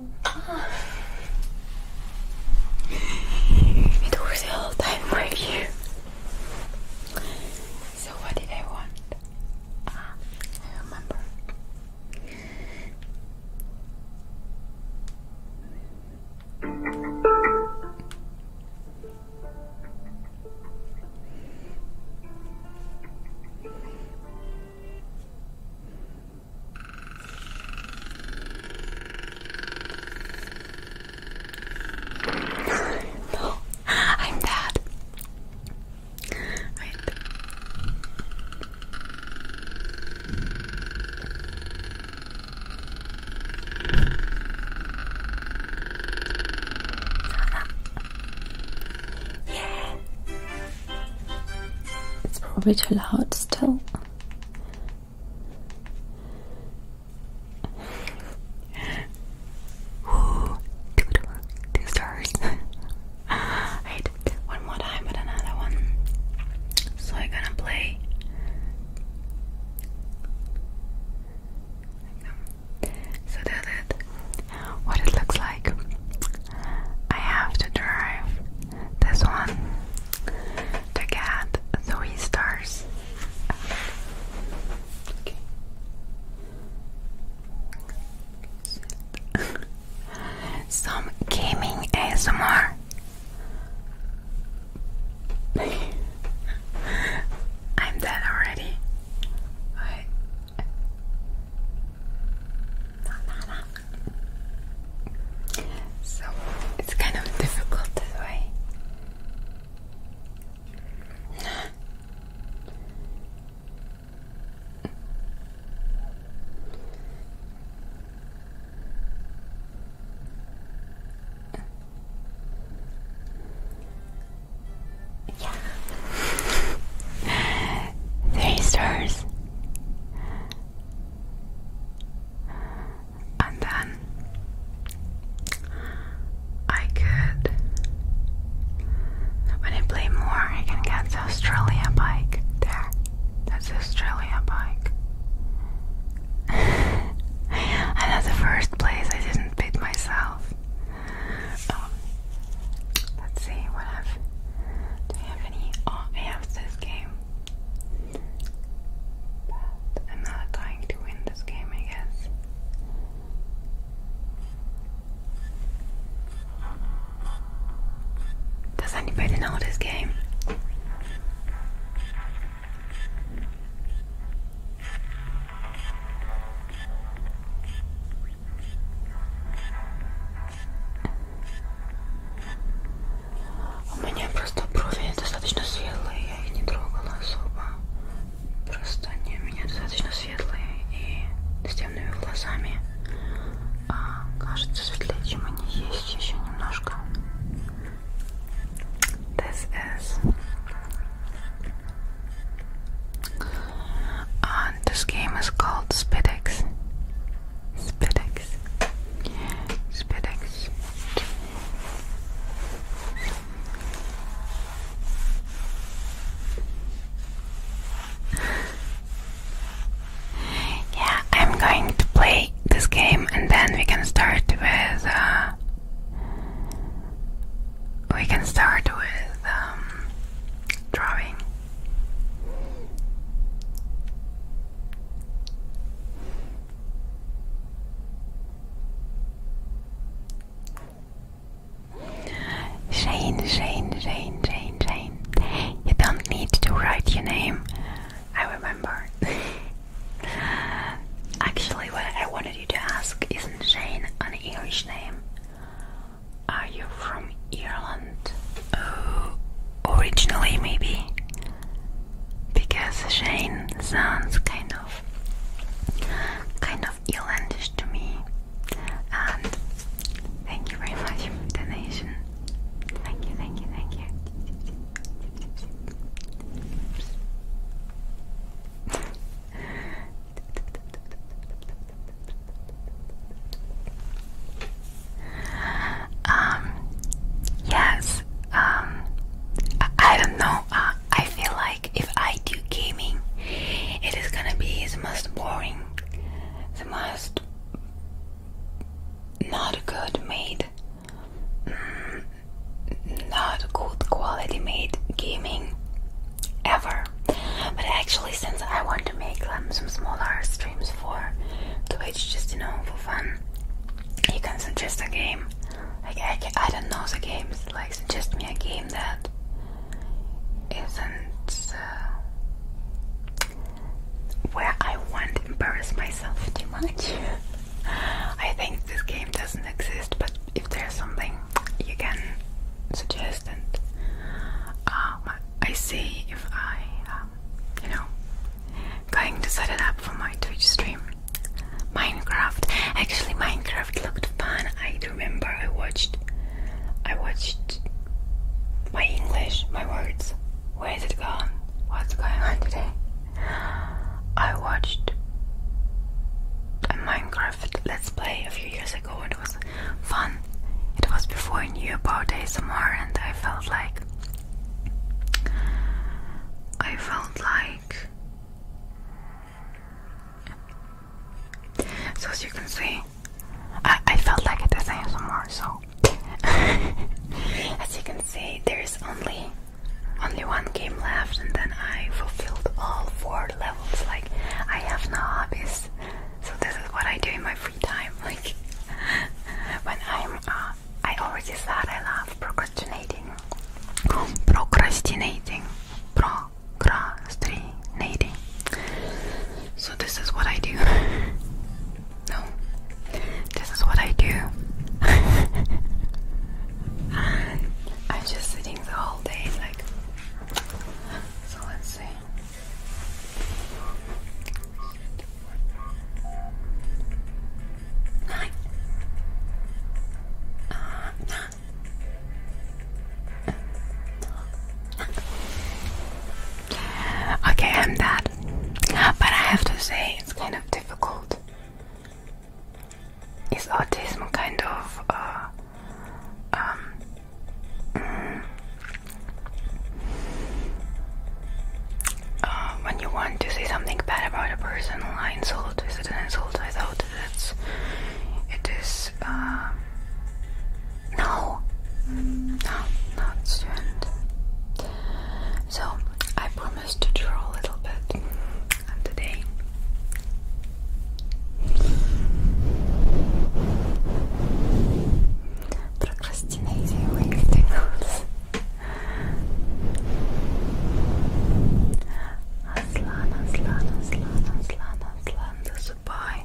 It was the whole time right here. So what did I want? Ah, I remember no, [LAUGHS] I'm bad. It's probably too loud still. Woo! Two, two, two stars. [LAUGHS] one more time with another one. So I'm gonna play. So that it, what it looks like. I have to drive this one to get three stars. [LAUGHS] Some gaming ASMR. am [LAUGHS] dead already. What? So it's kind of difficult this way. yeah. [LAUGHS] Three stars and then I could when I play more I can get the Australian bike there that's the Australian bike [LAUGHS] and at the first place I didn't beat myself oh, let's see what I've do I have any oh I have this game but I'm not going to win this game, I guess. Does anybody know this game? У меня просто брови достаточно светлые, я их не трогала особо. Просто они у меня достаточно светлые и с темными глазами. А, кажется, светлее, чем они есть еще немножко. This is. And а, this game is called SpitX. SpitX. SpitX. [LAUGHS] yeah, I'm going to play this game and then we can start with. Uh, we can start with um, drawing. Shane, Shane, Shane, Shane, Shane. You don't need to write your name. I remember. [LAUGHS] Actually, what I wanted you to ask isn't Shane an Irish name? Are you from Ireland? Oh, originally, maybe because Shane sounds kind of kind of Irlandish to me. And thank you very much for the donation. Thank you, thank you, thank you um, yes, um, I, don't know. Uh, I feel like if I do gaming, it is gonna be the most boring, the most not good made, mm, not good quality made gaming ever. But actually, since I want to make um, some smaller streams for Twitch, just you know, for fun, you can suggest a game. I, I don't know the games. Like suggest me a game that isn't uh, where I want to embarrass myself too much. [LAUGHS] I think this game doesn't exist, but if there's something you can suggest, and um, I see if I, um, you know, going to set it up for my Twitch stream. Minecraft. Actually, Minecraft looked fun. I remember I watched. I watched my English, my words. Where is it gone? What's going on today? I watched a Minecraft Let's Play a few years ago it was fun. It was before I knew about ASMR and I felt like I felt like. So as you can see, I, I felt like it as ASMR, so [LAUGHS] as you can see, there is only only one game left, and then I fulfilled all four levels. Like I have no hobbies, so this is what I do in my free time. [LAUGHS] Like when I'm uh, I already said I love procrastinating. Procrastinating. Procrastinating. So this is what I do. [LAUGHS] no. This is what I do. [LAUGHS] I'm just sitting the whole day like so let's see okay, I'm that. But I have to say, it's kind of difficult. Is autism kind of uh, um, mm, um, when you want to say something bad about a person or insult, is it an insult? I thought that's it is. Um, no, no, not student. So I promised to draw a little bit, today. Procrastinating like [LAUGHS] Aslan, Aslan, Aslan, Aslan, Aslan, засыпай,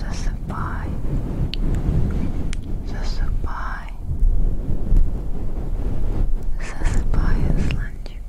засыпай, засыпай, засыпай, Асланчик. Спокойной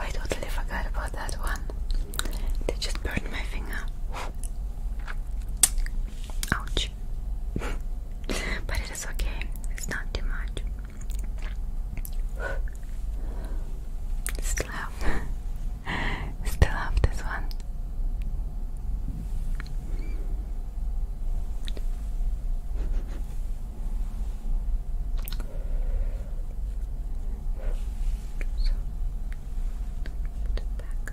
I totally forgot about that one. They just burned my finger. Ouch. but it is okay, it's not too much. Slap. Still have this one. So, put it back.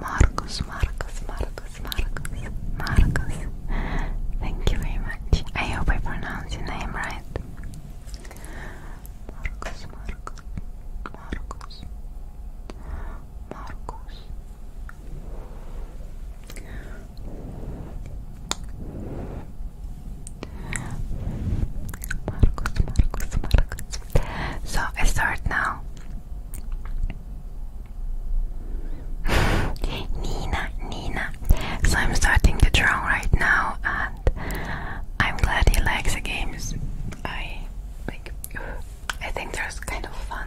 Marcus, Marcus, Marcus, Marcus, Marcus. Thank you very much. I hope I pronounced your name right. Marcus, Marcus, Marcus, Marcus. Marcus, Marcus, Marcus, so I start now. [LAUGHS] Nina, Nina. So I'm starting the draw right now, and I'm glad he likes the games. I like. [SIGHS] I think there's kind of fun.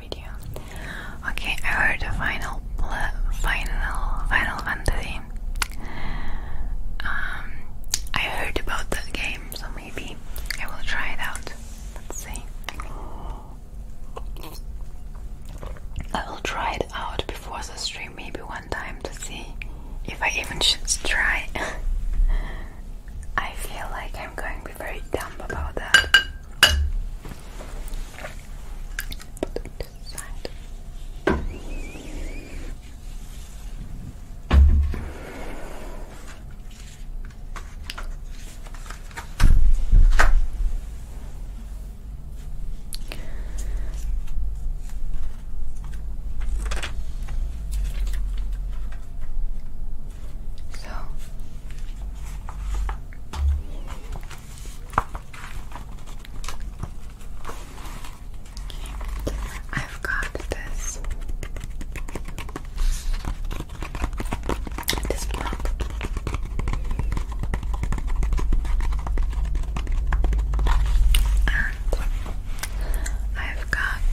Okay, I heard the final, final, final fantasy. Um, I heard about the game, so maybe I will try it out. Let's see. I will try it out before the stream, maybe one time to see if I even should try. [LAUGHS] I feel like I'm going to be very dumb about that. Put them to the side. So I've got this. This block. And I've got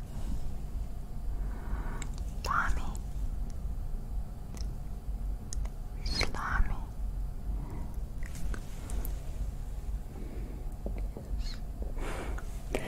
Islami Islami yes.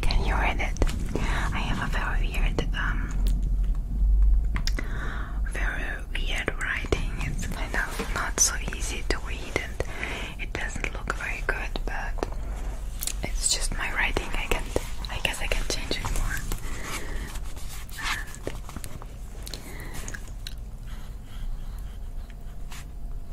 Can you read it? I have a very weird, um, very weird writing. It's kind of not so easy to read, and it doesn't look very good. But it's just my writing. I can, I guess, I can change it more.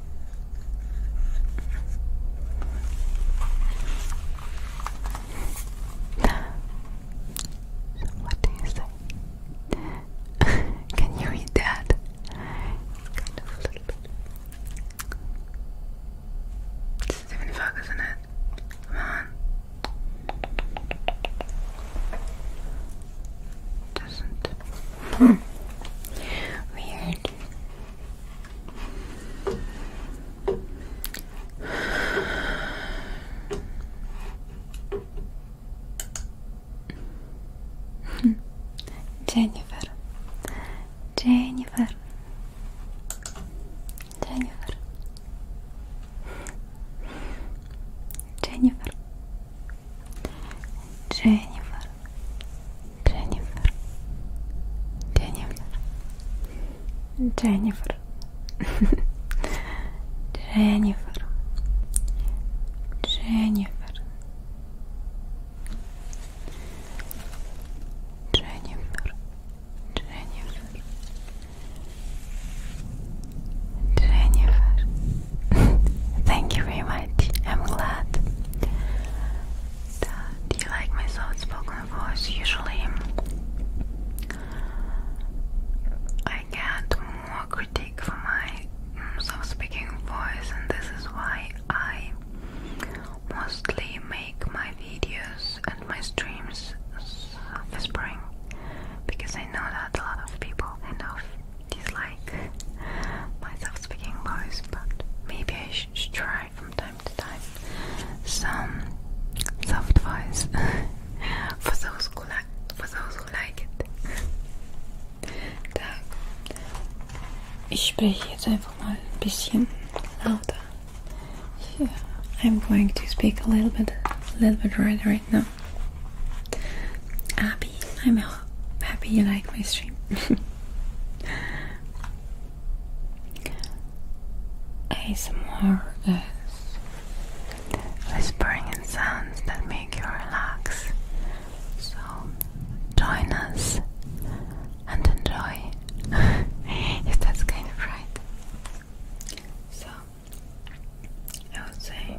So what [LAUGHS] Can you read that? Kind of a little bit. This is even it. Come on. Doesn't. [LAUGHS] Weird. Дженніфер, Дженніфер, Дженніфер, Дженніфер, Дженніфер. Дженнифер, Дженнифер, Дженнифер, Дженнифер, Дженнифер, Дженнифер, Дженнифер, Jennifer, thank you very much. I'm glad. Do you like my soft spoken voice. Usually, I get more critique for my mm, soft speaking voice, and this is why I mostly make my videos and my streams whispering because I know that a lot of people kind dislike my soft speaking voice, but maybe I should try from time to time some soft voice [LAUGHS] for those who like for those who like it. Так. Ich spreche jetzt einfach mal ein bisschen lauter. Yeah, I'm going to speak a little bit, a little bit right right now. Abby, I'm happy you like my stream. [LAUGHS] ASMR is whispering sounds that make you relax. So join us and enjoy. [LAUGHS] if that's kind of right. So I would say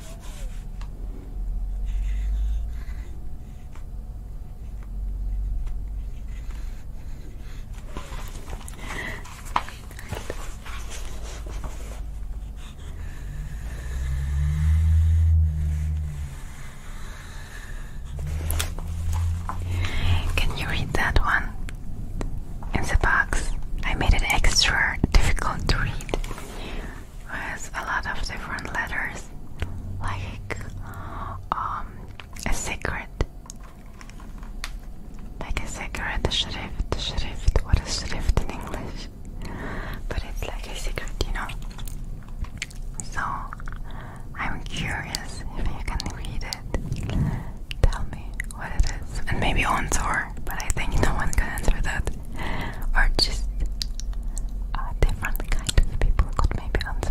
Can you read that one? In the box, I made it extra difficult to read with a lot of different letters, like um, a secret, like a secret shrift, shrift. What is shrift in English? But it's like a secret, you know. So I'm curious if you can read it. Tell me what it is, and maybe once or but I think no one can answer that. Or just a different kind of people could maybe answer.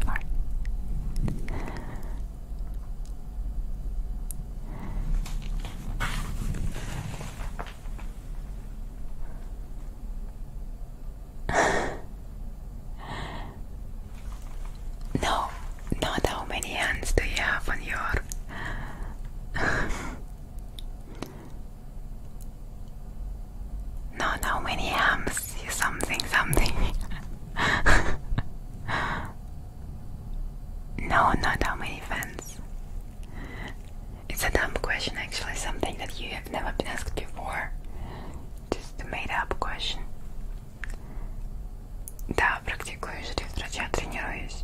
[LAUGHS] no, not how many hands do you have on your [LAUGHS] [LAUGHS] No, no, many hams, you something, something. [LAUGHS] no, not how many fans. It's a dumb question, actually, something that you have never been asked before. Just a made up question. Да, практикую, что я тренируюсь.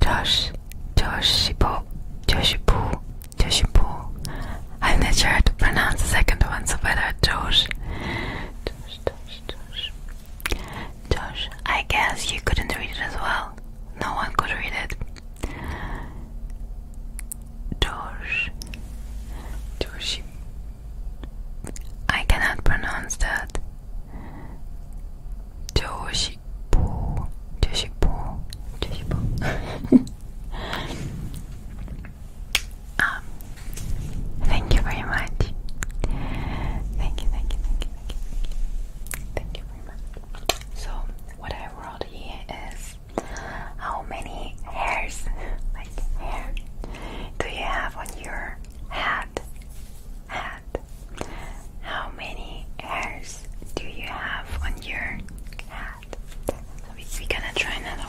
Josh, Josh, Shibo, Joshibu, Joshibu. I'm not sure how to pronounce the second one, so better Josh. Josh, Josh, Josh. I guess you couldn't read it as well. No one could read it. Josh, Joshi. I cannot pronounce that. 조식부 조식부 조식부 um, Thank you very much Thank you, thank you, thank you, thank you, thank you very much So, what I wrote here is How many hairs, [LAUGHS] like hair, do you have on your head? Head how many hairs do you have on your head? we, are gonna try another one.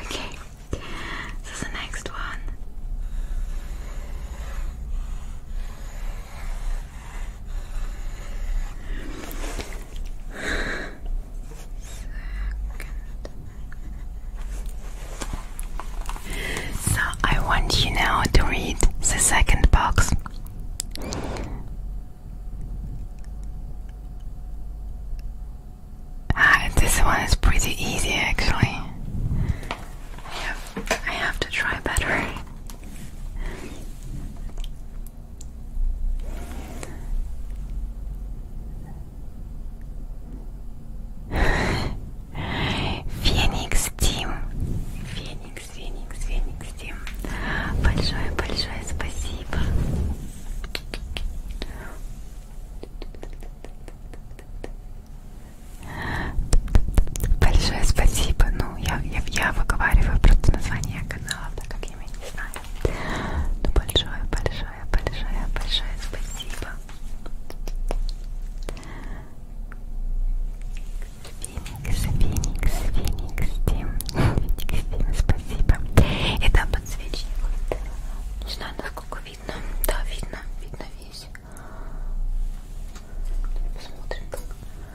Okay, this the next one. So I want you now to read the second box. Ah, this one is pretty easy actually. I have to try better. Феникс Тим. Феникс, Феникс, Феникс Тим. Большое, большое спасибо. Большое спасибо. Ну, ну, я, я, я выговариваю просто название канала, так как я его не знаю. Ну, большое, большое, большое, большое спасибо. Феникс, Феникс, Феникс, Тим, Феникс, Тим, спасибо. И да, подсвечник. Не знаю, насколько видно. Да, видно, видно весь. Посмотрим, как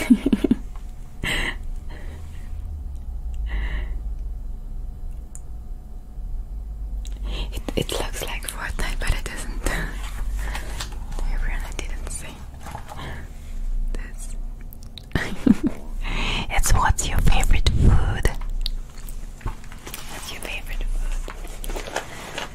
[LAUGHS] it, looks like Fortnite, but it isn't. I [LAUGHS] really didn't see this. [LAUGHS] it's what's your favorite food? What's your favorite food?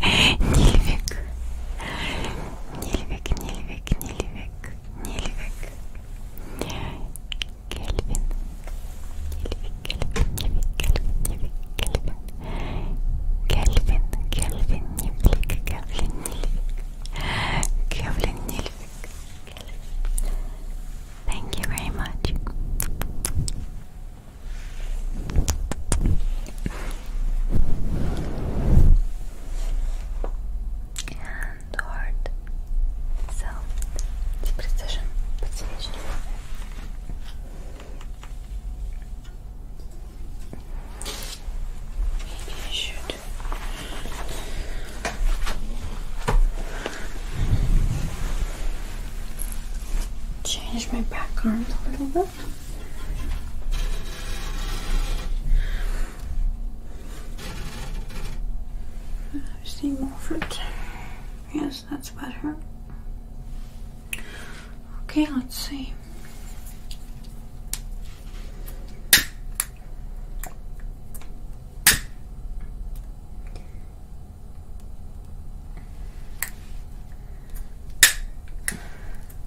Nilvik, Nilvik, Nilvik, Nilvik, Nilvik, Kelvin, Kelvin, Kelvin, Kelvin, Kelvin, Kelvin, Nilvik, Kelvin, Nilvik, Kelvin, Nilvik. Thank you very much and hard. So, the precision подсвечивание. Maybe I should. Change my back arms a little bit. I see more fruit. Yes, that's better. Okay, let's see.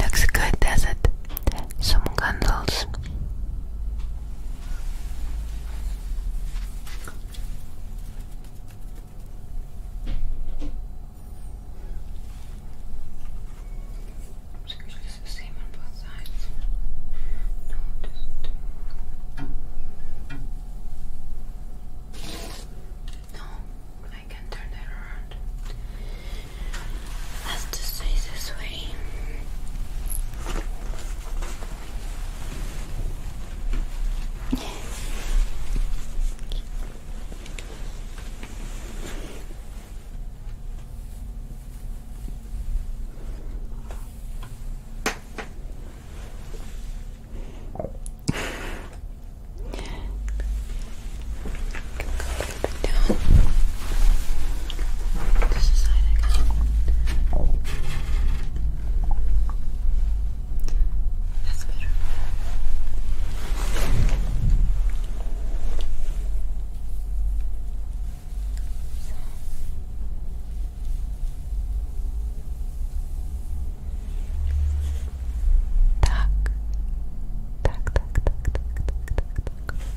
Looks good, does it? Some candles. It's actually the same on both sides. it No, I can turn that around has to stay this way back down. That's better. So. Tak, tak, tak, tak, tak, tak,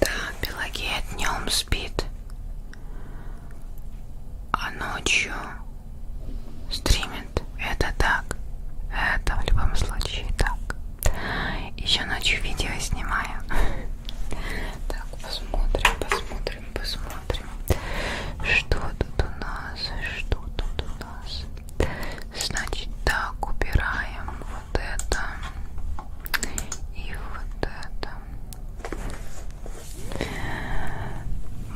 Да, Пелагея днем спит, а ночью стримит. Это так. Это в любом случае так. Еще ночью видео снимаю. [LAUGHS] Так, посмотрим, посмотрим, посмотрим. Что тут у нас? Что тут у нас? Значит, так, убираем вот это и вот это.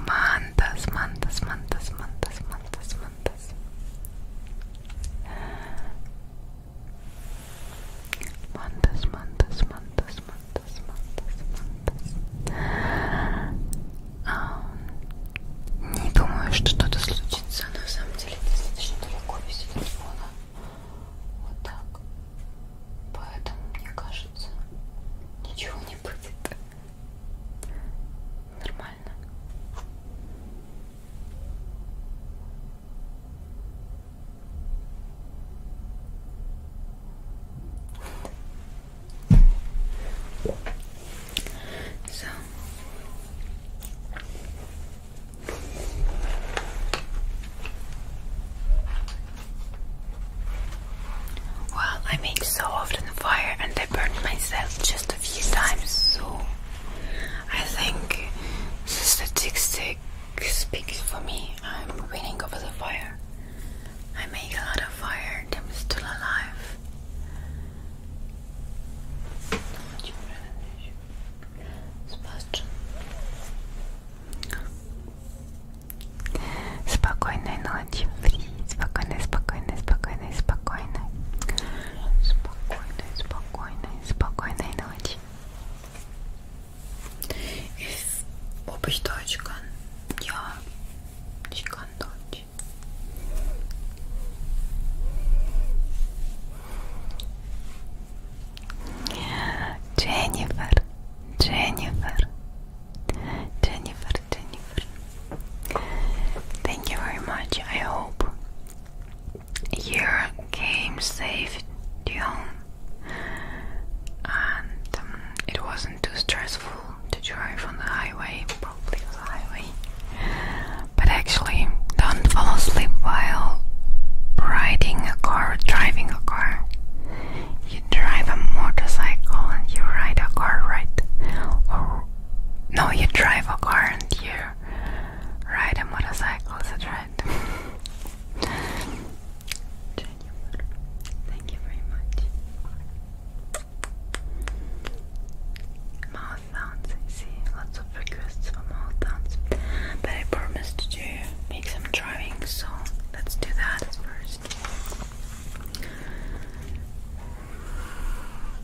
Мантас, мантас, мантас, мантас, мантас, мантас. Мантас, мантас, мантас, мантас, мантас, мантас. А, не думаю, что что-то случится. На самом деле достаточно далеко висит телефона. Вот так. Поэтому, мне кажется, ничего не будет. Нормально. So well, I make so often fire and I burned myself just a few times, so I think the statistic speaks for me. I'm winning over the fire. I make a lot of fire, them still alive. Спокойной ночи, Спокойной, спокойной, спокойной, спокойной. Спокойной, спокойной. Спокойной, спокойной ночи. If обувь точкан, я чекан дочь. Дженнифер, Дженнифер, Дженнифер, Дженнифер. Thank you very much. I hope your game saved home, and um, it wasn't too stressful to drive on the highway, probably the highway. But actually, don't fall asleep while riding a car, driving a car. You drive a motorcycle and you ride a car, right? Or no, you drive a car and you ride a motorcycle is a [LAUGHS] trend. thank you very much. Mouth I see lots of requests for mouth But I promised to make some drawing, so let's do that first.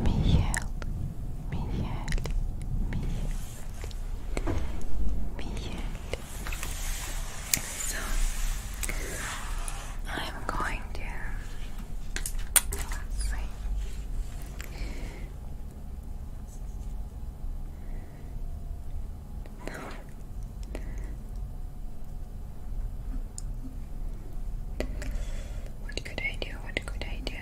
Michel, Michel, Michel, Michel. So I'm going to what could I do? What could I do?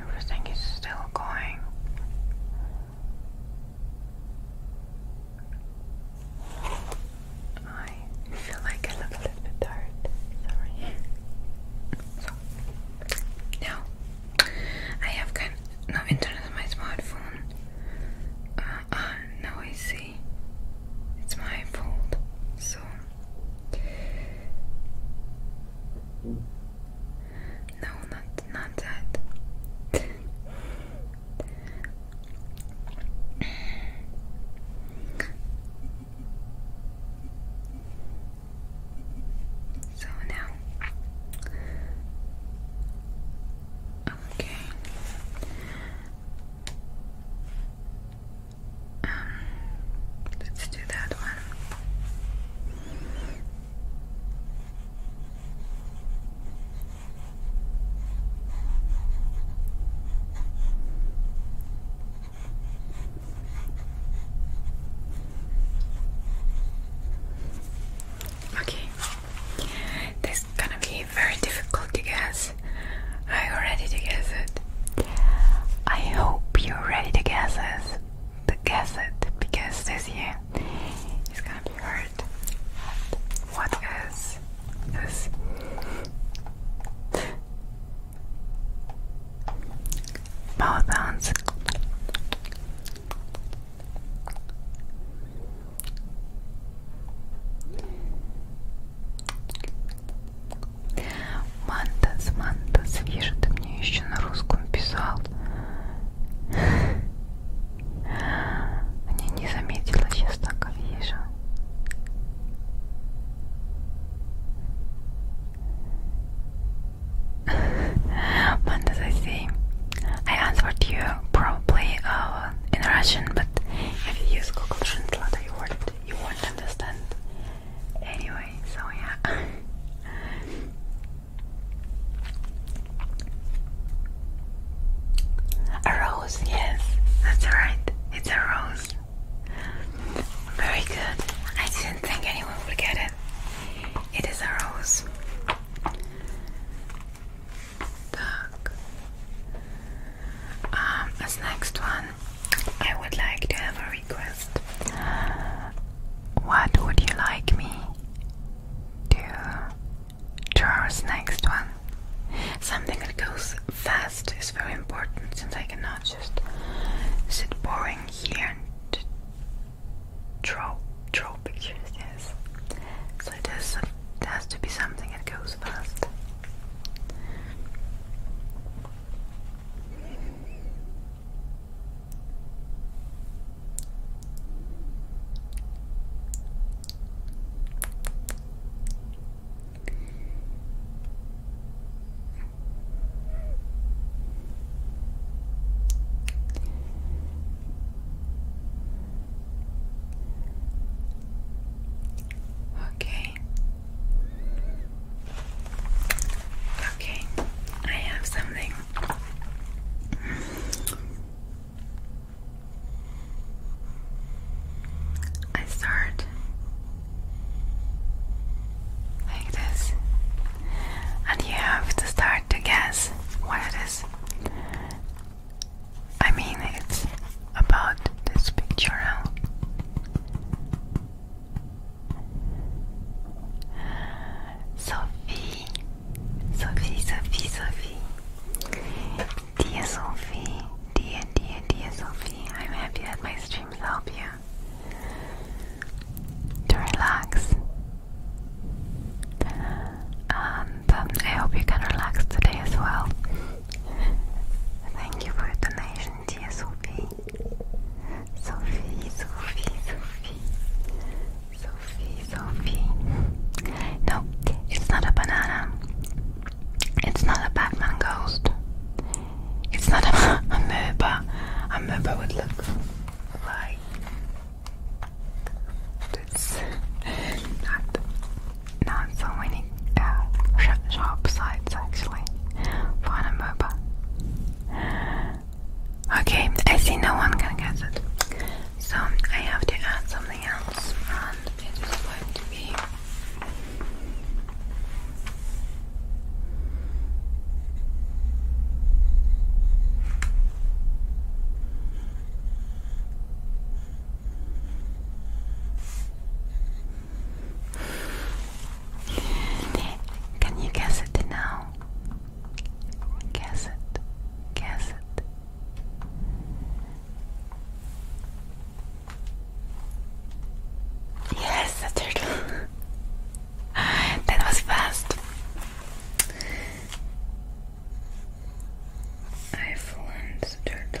Everything is still going. I feel like I look a little bit tired. Sorry. So, now I have kind of no internet on my smartphone. Uh, uh, now I see it's my fault. So no, not not that. so now okay um let's do that one Okay, this is gonna be very difficult to guess. Are you ready to guess it? I hope you're ready to guess it. To guess it because this year He's gonna be hurt. What is this? Mouth sounds. Манта, Манта, свежий ты мне еще на русском писал. Они не заметила, сейчас так вижу. Fantasy. I answered you probably uh, in Russian, but if you use Google Translate, you won't understand. Anyway, so yeah. A rose, yes, that's right, it's a rose. Very good. I didn't think anyone would get it. It is a rose. Um, as next one, I would like to have a request. What would you like me to to next one. Something that goes fast is very important since I cannot just sit boring here and draw draw pictures, yes. So there's has to be something that goes fast. Okay. Okay, I have something I start like and you have to start to guess what it is. I mean, it's about this picture now. Sophie, Sophie, Sophie, Sophie. Dear Sophie, dear, dear, dear Sophie, I'm happy that my streams help you to relax. And um, I hope you can relax today as well. Thank you for your donation, dear Sophie. Sophie, Sophie, Sophie. Sophie, Sophie. No, it's not a banana. It's not a Batman ghost. It's not [LAUGHS] a, a MOBA. A MOBA would look like this. not, not so many uh, sh sharp sides actually for an MOBA. Okay, I see no one can guess it. So I have to add something else, and um, it is going to be Can you guess it now? Guess it. Guess it. Yes, a turtle. [LAUGHS] that was fast. I flunked the turtle.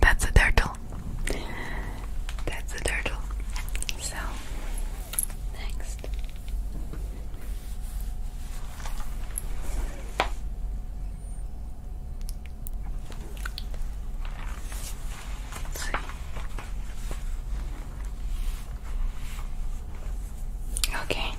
That's a turtle. That's a turtle. So, next. Okay.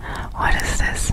Um, what is this?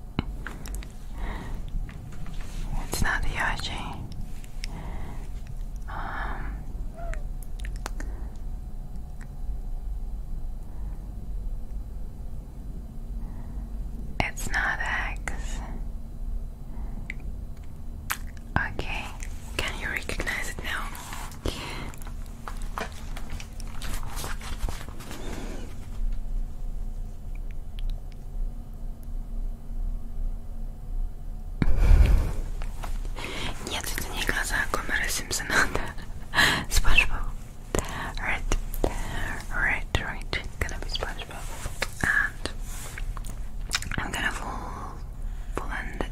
It's not the Yashi. Um, it's not X. Okay, can you recognize it now? Нет, это не глаза Гомера Симпсона, да. SpongeBob. Right, right, right. Gonna be SpongeBob. And I'm gonna full blend it.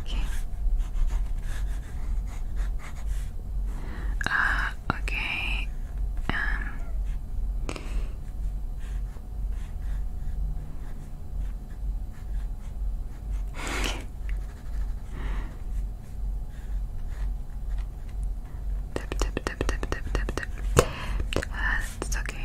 Okay. Uh, okay. Um. Tip, tip, tip, tip, tip, tip, tip. Uh, it's okay.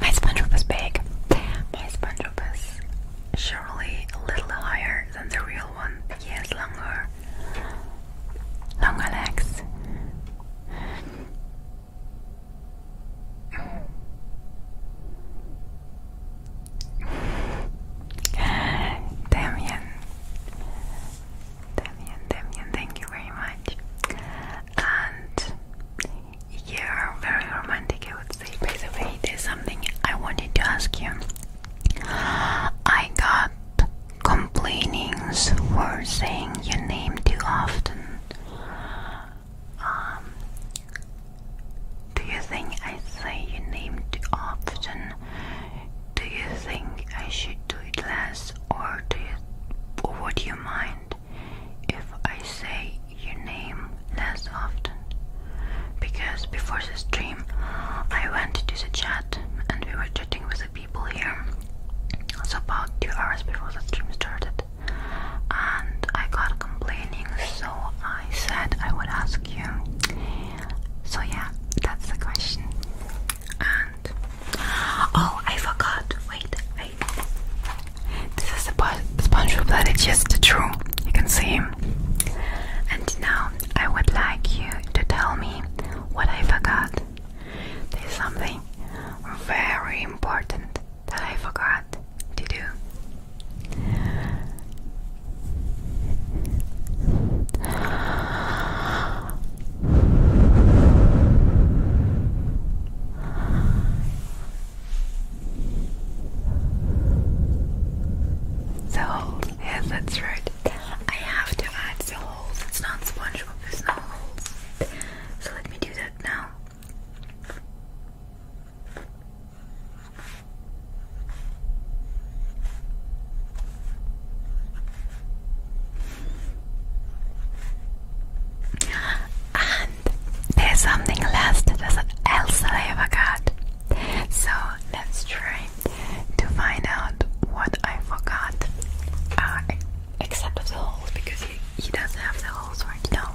My SpongeBob is big. My SpongeBob is surely a little higher than the real one. He longer, longer legs. Damien, Damien, Damien, thank you very much and you're very romantic, I would say. By the way, there's something I wanted to ask you. I got complainings for saying your name too often. Um, do you think I say your name too often? Do you think I should do less, or do you, would you mind if I say your name less often? Because before the stream, I went to the chat and we were chatting with the people here. So about two hours before the stream started, and I got complaining, so I said I would ask you. So yeah, that's the question. Oh, I forgot. Wait, wait. This is the SpongeBob. that is just a true. You can see. him. And now I would like you to tell me what I forgot. There's something very important that I forgot to do. The holes, yes, that's right. I have to add the holes, it's not SpongeBob, there's no holes. So let me do that now. And there's something last that else that I So let's try to find out what I forgot. Uh, except the holes, because he doesn't have the holes right now.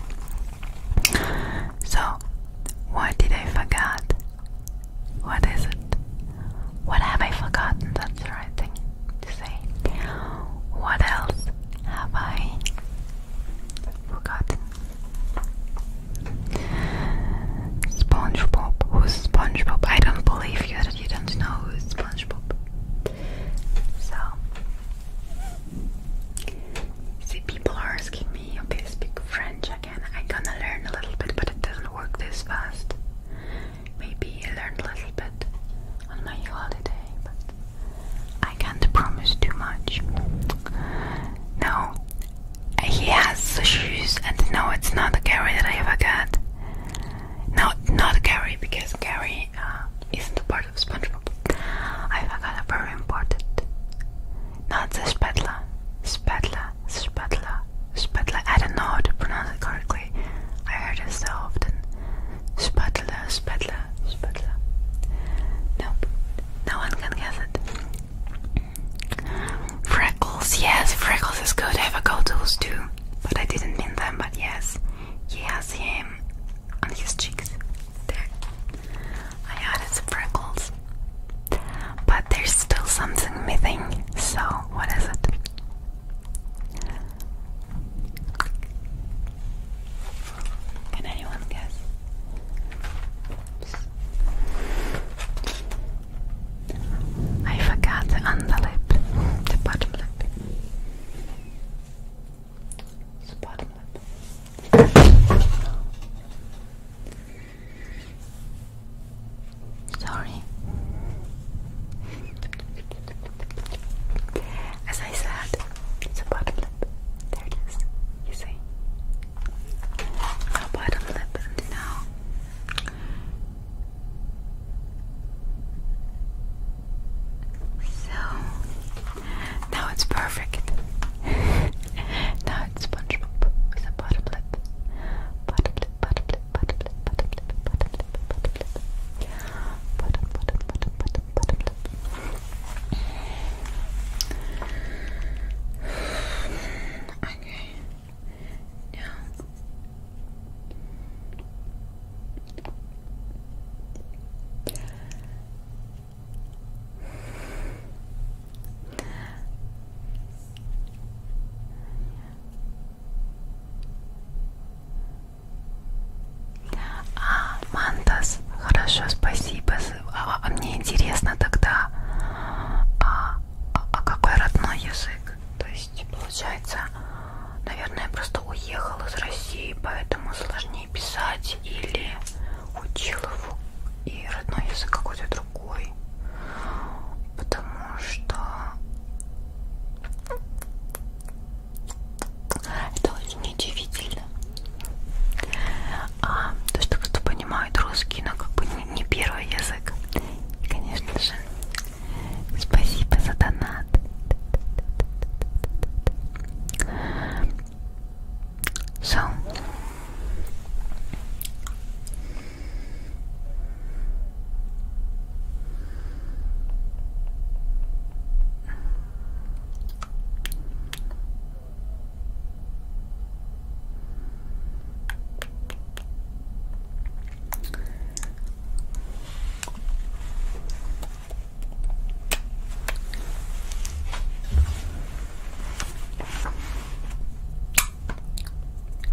So, what did I forget? What is it? What have I forgotten? That's the right thing. What else have I forgotten? SpongeBob. Who's SpongeBob? I don't believe you that you don't know who's SpongeBob. So, see, people are asking me if I speak French again. I'm gonna learn a little bit, but it doesn't work this fast. Maybe I learned a little bit on my holiday, but I can't promise too much. No, he has shoes, and no, it's not Gary that I ever got. No, not Gary, because Gary uh, isn't a part of SpongeBob. I forgot a very important. Not the spatula, spatula, spatula, spatula. I don't know how to pronounce it correctly. I heard it so often. Spatula, spatula, spatula. Nope, no one can guess it. Freckles, yes, freckles is good. have a go those too, but I didn't mean them, but yes. yes, him on his cheeks. There. I added some freckles. But there's still something missing, so what is it? Can anyone guess? I forgot the underlip, the bottom lip. Sorry. As I said, it's a bottom lip. There it is. You see? bottom lip, now. So now it's perfect. [LAUGHS] now it's SpongeBob with a bottom lip. Bottom lip, bottom lip, bottom lip, bottom lip, bottom lip, bottom lip. Bottom, bottom, bottom, bottom, bottom, bottom Okay. Now. А, Мантас, хорошо, спасибо. А, а мне интересно тогда, а, а, а какой родной язык? То есть, получается, наверное, я просто уехал из России, поэтому сложнее писать или учил его и родной язык какой-то другой. Потому что это очень удивительно. А, то, что кто понимает русский, но ну, как бы не, не первый язык. И, конечно же, спасибо за донат. So.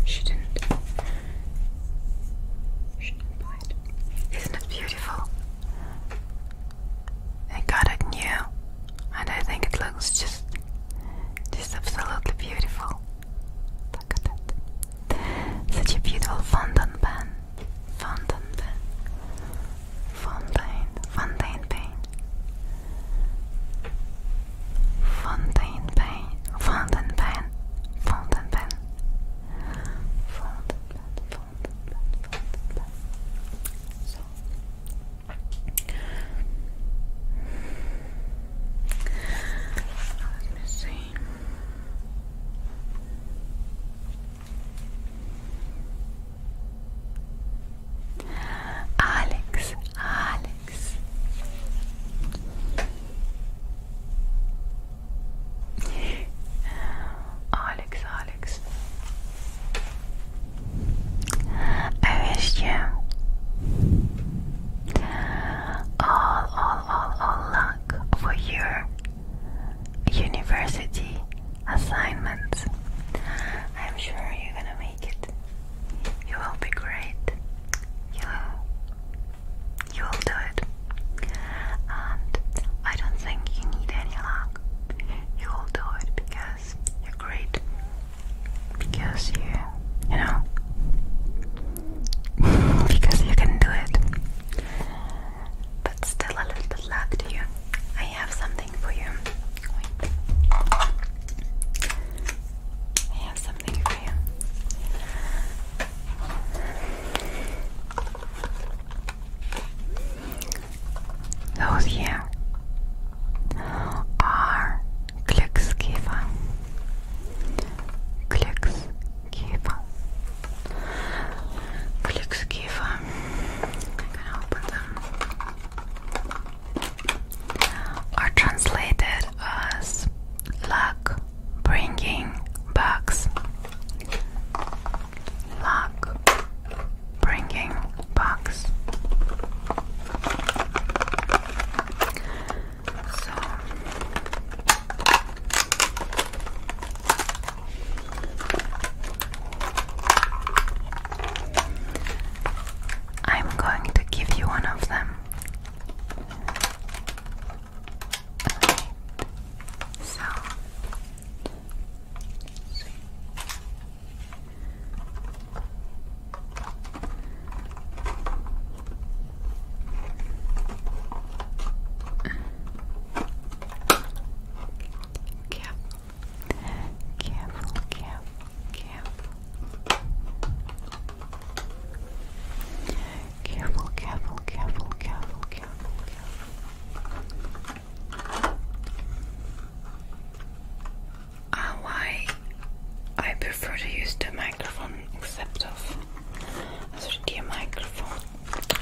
She didn't. She didn't bite. Isn't it beautiful? They got it new, and I think it looks just, just absolutely beautiful. Look at that! Such a beautiful fondant pen, fondant pen, fondant, fondant pen, fondant pen, fondant pen, fondant pen, fondant pen. So I was Alex, Alex. Uh, Alex, Alex. I wish you all, all, all, all luck for your university assignments. I'm sure you're gonna make it. You will be great. You will, you will do it and I don't think you need any luck. You will do it because you're great. Because you, you know, [LAUGHS] because you can do it. But still, a little luck to you. I have something for you. I have something for you. Those here are Glückskäfer. Glückskäfer. Are translated as luck bringing bugs luck bringing bucks. So I'm going to give you one of them. So Let's see. Careful, careful, careful, careful. Careful, careful, careful, careful, careful, careful. Uh, why I prefer to use the microphone except of a microphone.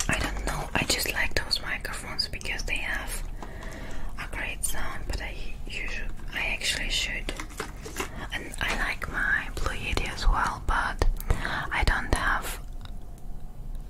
I don't know. I just like those microphones because they have a great sound. But I usually, I actually should, and I like my Blue Yeti as well. But I don't have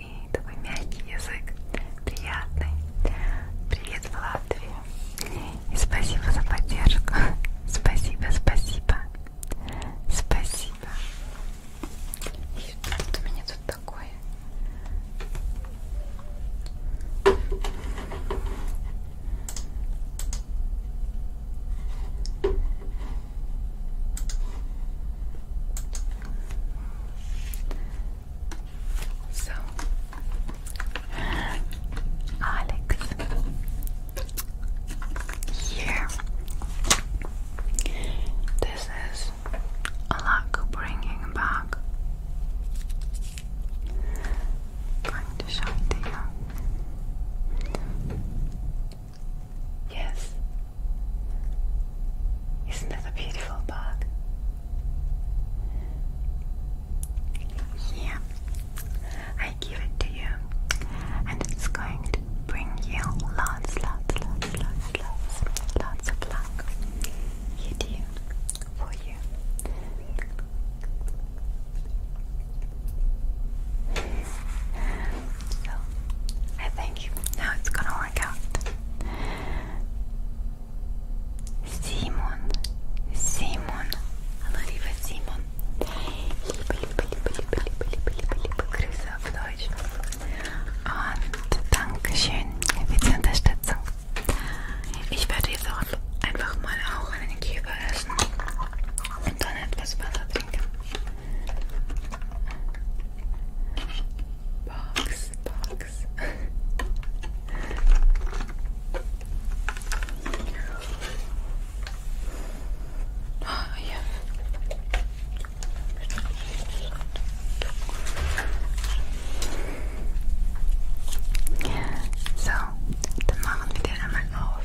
и такой мягкий язык, приятный. Привет в Латвии. И спасибо за поддержку. [LAUGHS] Спасибо, спасибо. Спасибо. И вот у меня тут такое. So, Alex, here, this is luck bringing back. I'm show it to you. Yes, isn't that a beautiful bug? Yeah, I give it to you, and it's going to bring you lots, lots, lots, lots, lots, lots of luck. You do for you. So I think now it's gonna workout. Simon, Simon, hallo lieber Simon. Liebe, liebe, liebe, liebe, liebe, liebe, liebe, liebe Grüße auf Deutsch. Und Dankeschön für die Unterstützung. Ich werde jetzt auch einfach mal auch einen Kiefer essen und dann etwas Wasser trinken. box, box. oh, yeah. So, dann machen wir den einmal auf.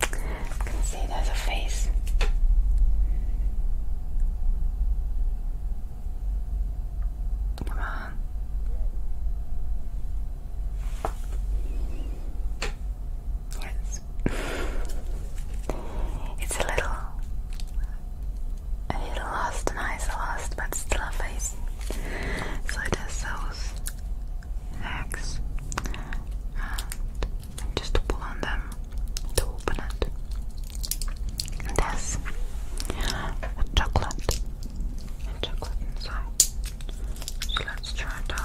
I can see there's a face. Come on. Yes. it's a little a little lost, nice lost, but still a face. So it has those eggs and just pull on them to open it. And there's chocolate and chocolate inside. So let's try it out.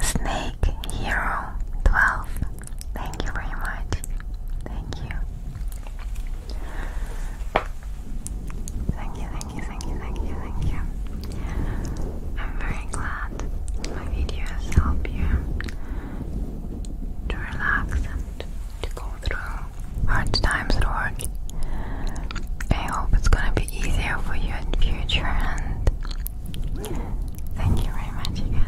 Snake Hero 12. Thank you very much. Thank you. Thank you, thank you thank you, thank you, thank you, thank you. I'm very glad my videos help you to relax and to go through hard times at work. I hope it's gonna be easier for you in future and thank you very much again.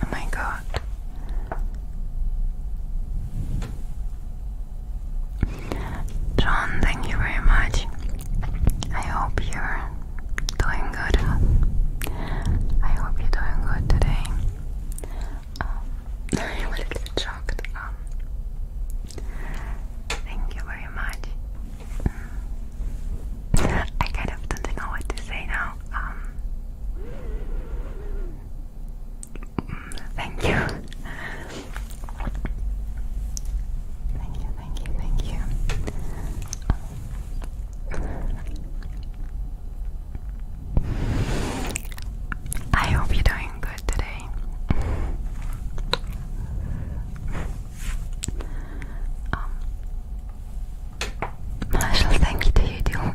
Oh, my God. John, thank you very much. I hope you're doing good. I hope you're doing good today. I'm um, [LAUGHS] a little shocked. Um, thank you very much. Mm. I kind of don't know what to say now. Um, mm, [LAUGHS] thank you. Thank you, thank you, thank you. I hope you're doing good today. um, thank you to you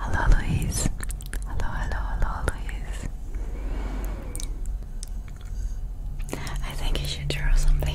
Hello, Louise. Hello, hello, hello, Louise. I think you should draw something.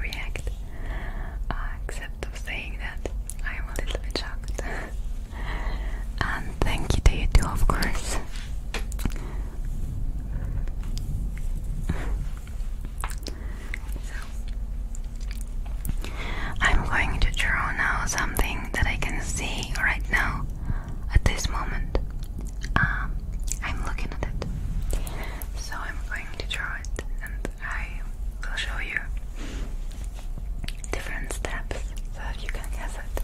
react, uh, except of saying that I am a little bit shocked. [LAUGHS] and thank you to you too, of course. so, I'm going to draw now something that I can see right now at this moment. Um, I'm looking at it. So I'm going to draw it I will show you different steps so you can guess it.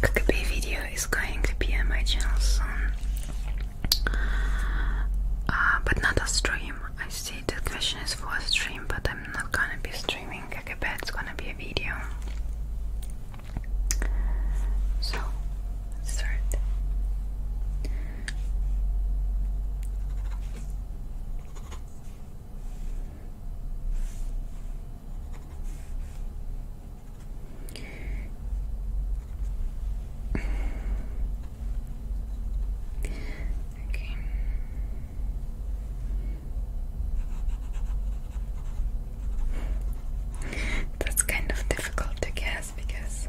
Kakabay video is going to be on my channel soon, uh, but not a stream. I see the question is for a stream, but I'm not gonna be streaming Kakabay, it's gonna be a video. So, start. Okay. That's kind of difficult to guess because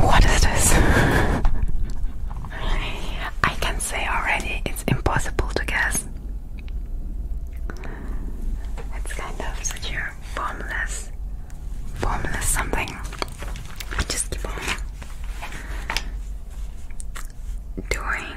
What is this? I can say already it's impossible to guess. It's kind of such a formless, formless something. just keep on doing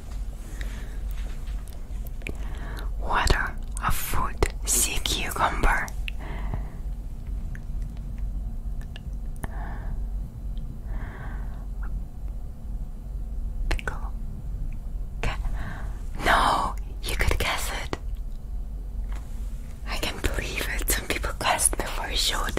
Water a fruit See cucumber. Pickle. No, you could guess it. I can't believe it. Some people guessed before I showed.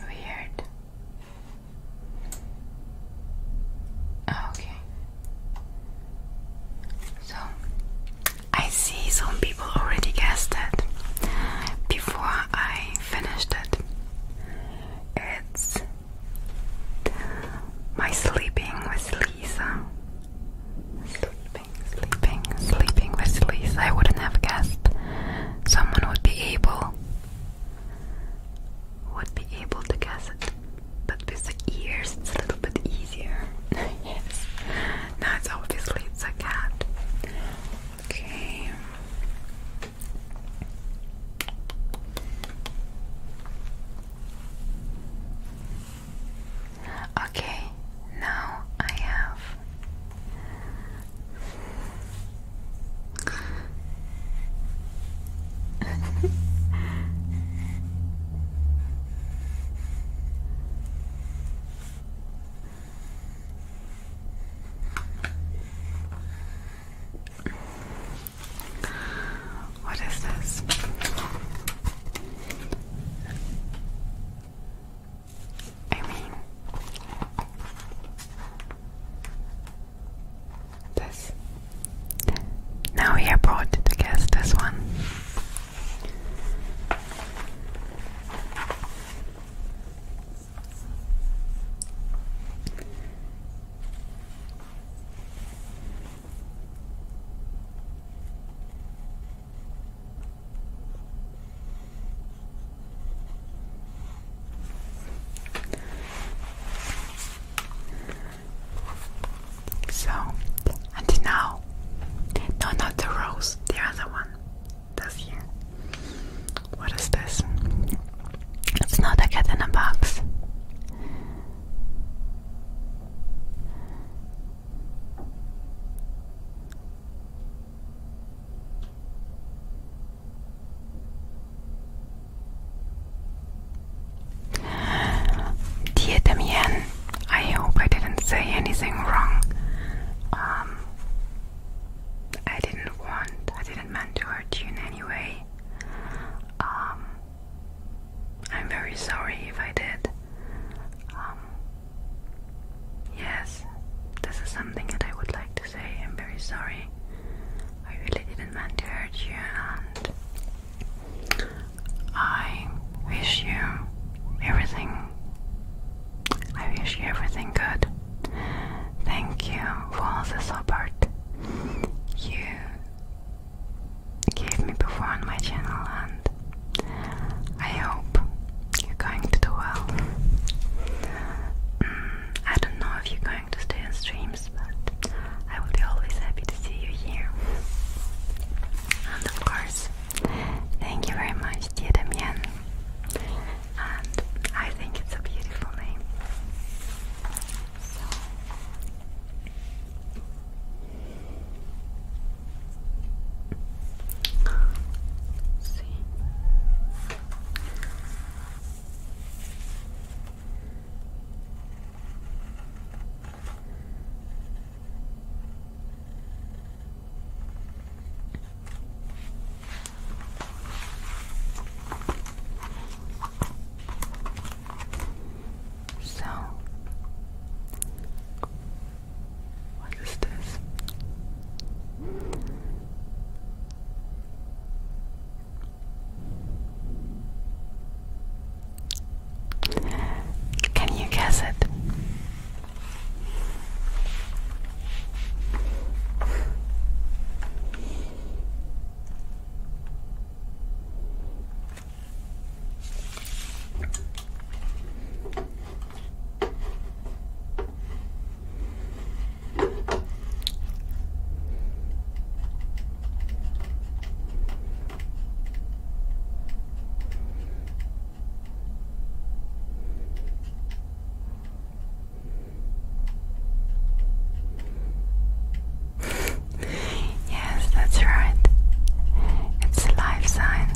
Weird. Oh, okay. So, I see some people already guessed that. before I finished it. It's my sleeping with Lisa sleeping, sleeping, with sleaze. I wouldn't have guessed someone would be able would be able to guess it. But with the ears it's a little bit easier. [LAUGHS] yes. Now it's obviously it's a cat. Okay. Okay, now I have [LAUGHS] what is this? I mean, this. Now we have brought to guess this one. So, and now, no, not the rose, the other one, that's here. What is this? It's not a cat in a box. Dear Damien, I hope I didn't say anything wrong. Um, I didn't want, I didn't mean to hurt you in any way. Um, I'm very sorry if I did. Um, yes, this is something that I would like to say. I'm very sorry. I really didn't mean to hurt you, and I wish you everything. I wish you everything good. Thank you for all the support. You gave me before on my channel, and I hope you're going to do well. Mm, I don't know if you're going to stay on streams, but I will be always happy to see you here. And of course, thank you very much, dear Damien. And I think it's a beautiful name. Let's see. So what is this? Can you guess it? Yes, that's right. It's a life sign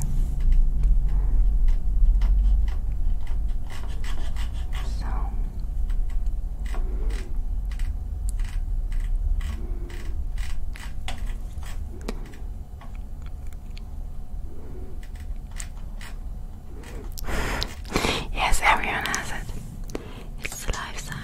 yes, everyone has it. It's a life sign.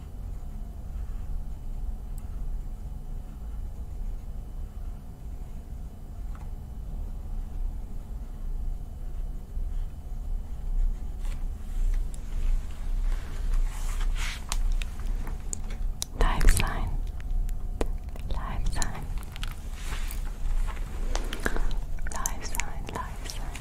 Live sein. Live sein. Live sein, live sein.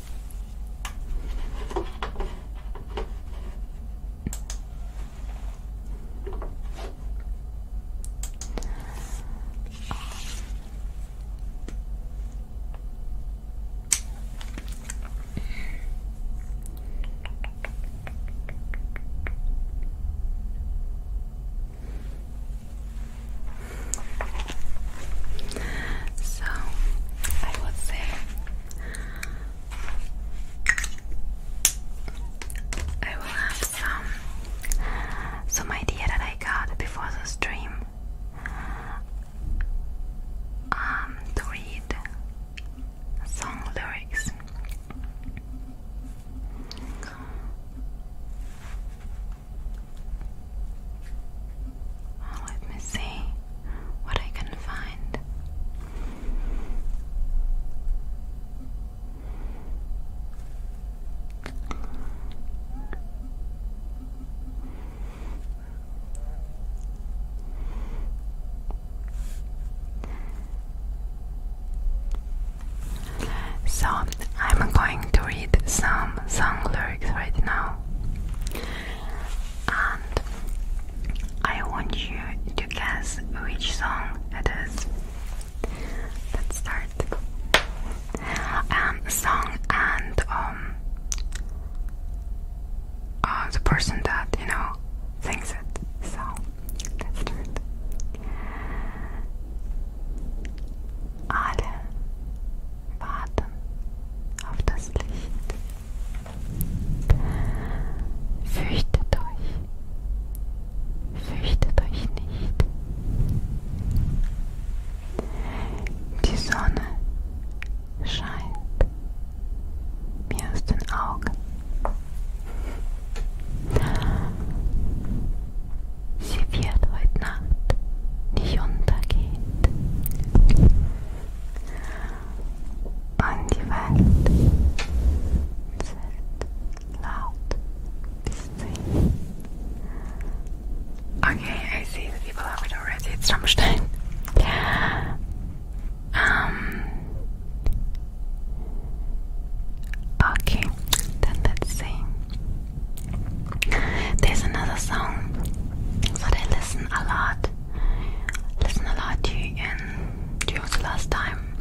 So I would say I will have some some idea that I got before the stream um to read song lyrics. Oh, let me see what I can find. So, I'm going to read some song lyrics right now and I want you to guess which song it is. Let's start. Um, song and um, uh, the person that you know sings it. So let's start. Alle warten auf das Licht. Fürchtet euch, fürchtet euch nicht. Die Sonne scheint mir aus den Augen. Sie wird heute Nacht nicht untergehen. und die Welt zählt laut Okay, I see the people have it already. It's Rammstein. Um, okay, then let's see. There's another song that I listen a lot listen a lot to in during the last time,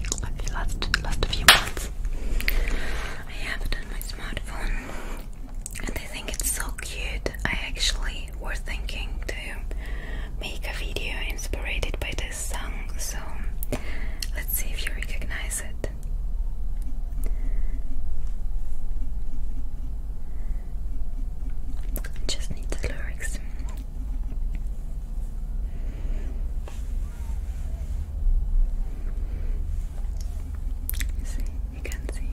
the last last few months. I have it on my smartphone, and I think it's so cute. I actually was thinking to make a video inspired by this song, so let's see if you recognize it. Just need the lyrics. You see, you can see.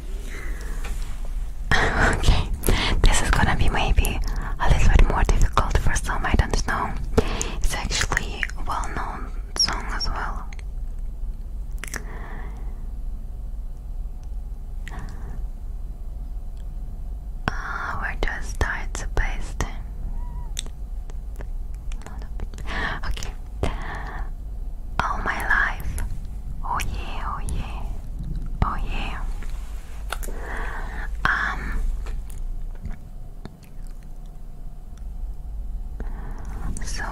[LAUGHS] okay, this is gonna be maybe a little bit more difficult for some, I don't know. It's actually a well known song as well. Uh, where do I start? Okay. All oh, my life. Oh yeah, oh yeah. Oh yeah. Um so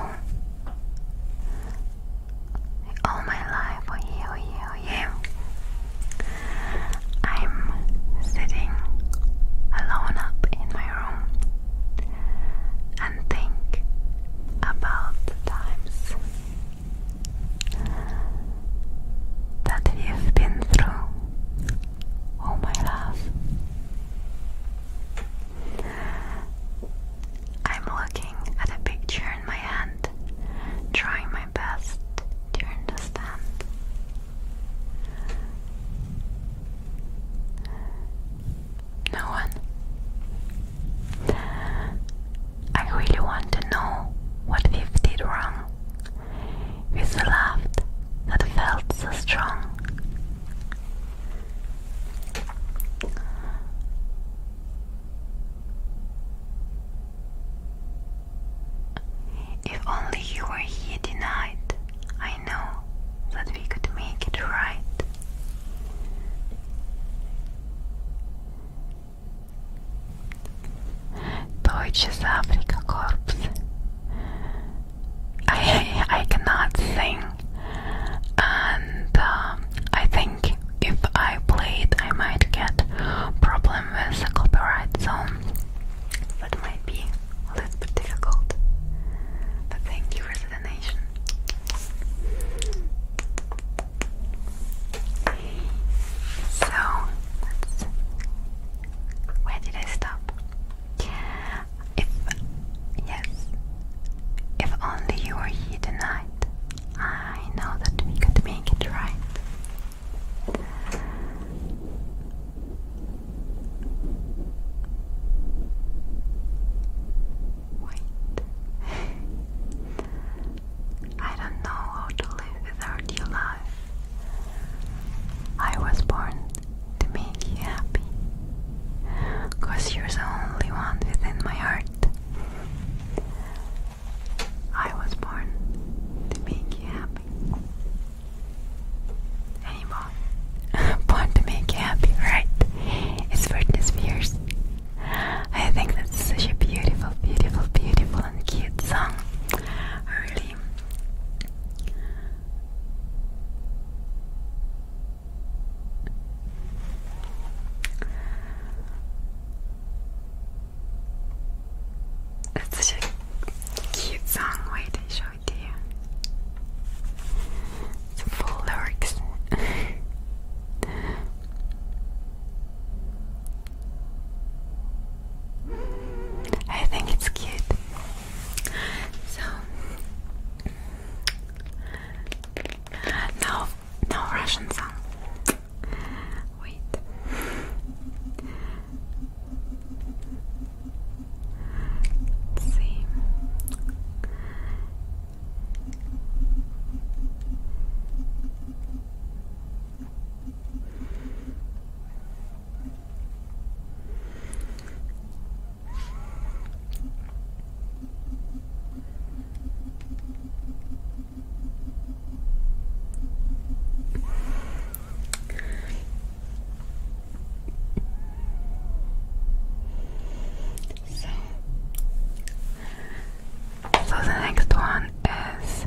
all my life, oh, yeah, oh, yeah, oh, yeah. I'm sitting alone up in my room and think about the times that you've been through, oh my love. I'm looking at a picture in my hand, trying my best to understand. No one. I really want to know what Viv did wrong. With a laugh that felt so strong. If only you were here tonight, I know that we could make it right. Deutsches Afrika Corps. I, I cannot sing, and um, I think if I play it, I might get problem with the copyright zone. That might be a little bit difficult. But thank you, Resident Nation. So where did I stop? If yes, if only you were here tonight, I know that we could make it right. Wait. I don't know how to live without your love. I was born to make you happy. Cause you're the only one within my heart. I was born to make you happy. Anymore. [LAUGHS] born to make you happy, right? It's Britney Spears. I think that's such a beautiful, beautiful, beautiful and cute song. Really. That's such a cute song. Wait, I show it to you. full lyrics. [LAUGHS] I think it's cute. So no, no Russian song. Wait. let so, so the next one is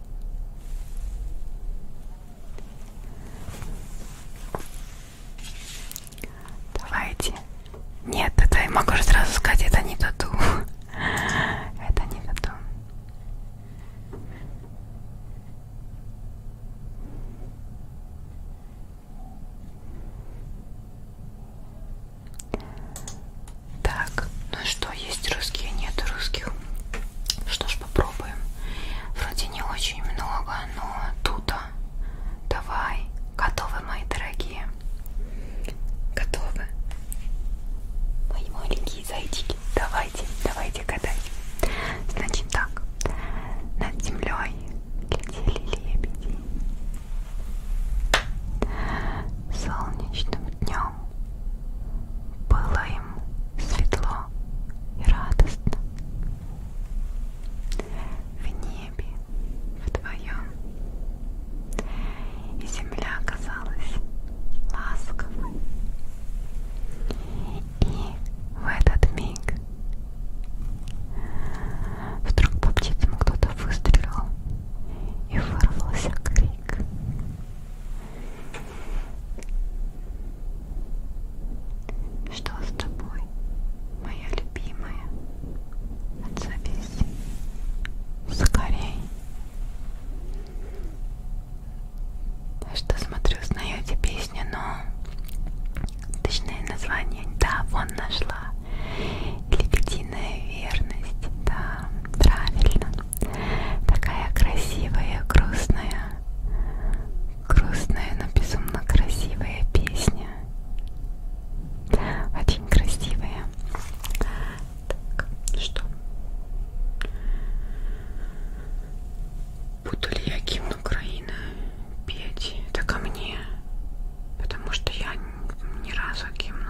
Давайте. Нет, это я могу сразу сказать, это не тату. [LAUGHS] Это не тату. Так, ну что, есть русские, нет русских. Что ж, попробуем. Вроде не очень много, но тут давай. Готовы, мои дорогие? Готовы? Мои маленькие зайчики. Давайте, давайте гадать. Значит так, над землей летели лебеди. Солнечным днем было им светло и радостно. В небе вдвоем. И земля казалась ласковой. И в этот миг вдруг по птицам кто-то выстрелил и вырвался крик. Что с тобой, моя любимая? Отзовись скорей. Что смотрю, знаю эти песни, но точное название, да, вон нашла. Лебединая верность, да правильно. Такая красивая, грустная, грустная, но безумно красивая песня. Очень красивая. Так, что? Буду ли я гимн Украины петь? Это ко мне. Потому что я ни разу гимн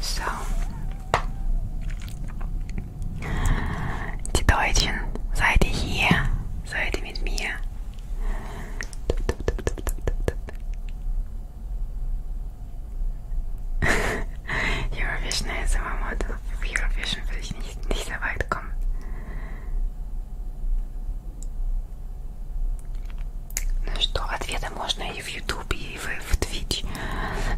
So. Die Deutschen, seid ihr hier? Seid ihr mit mir? Eurovision ASMR Model. Eurovision will ich nicht. рисоватком. Ну что, ответы можно и в YouTube, и в, в Twitch.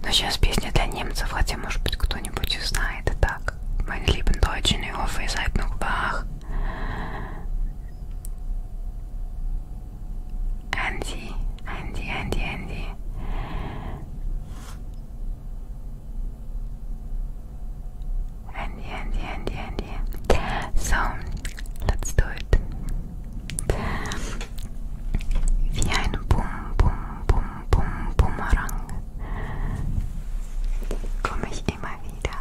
Но сейчас песня для немцев, хотя, может быть, кто-нибудь знает. И так, mein lieben Deutschen, ich hoffe, ihr seid noch wach. Andy, Andy, Andy, Andy. Handy, Handy, Handy, Handy. So, let's do it. Wie ein Bum, Bum, Bum, Bum, Bumerang komme ich immer wieder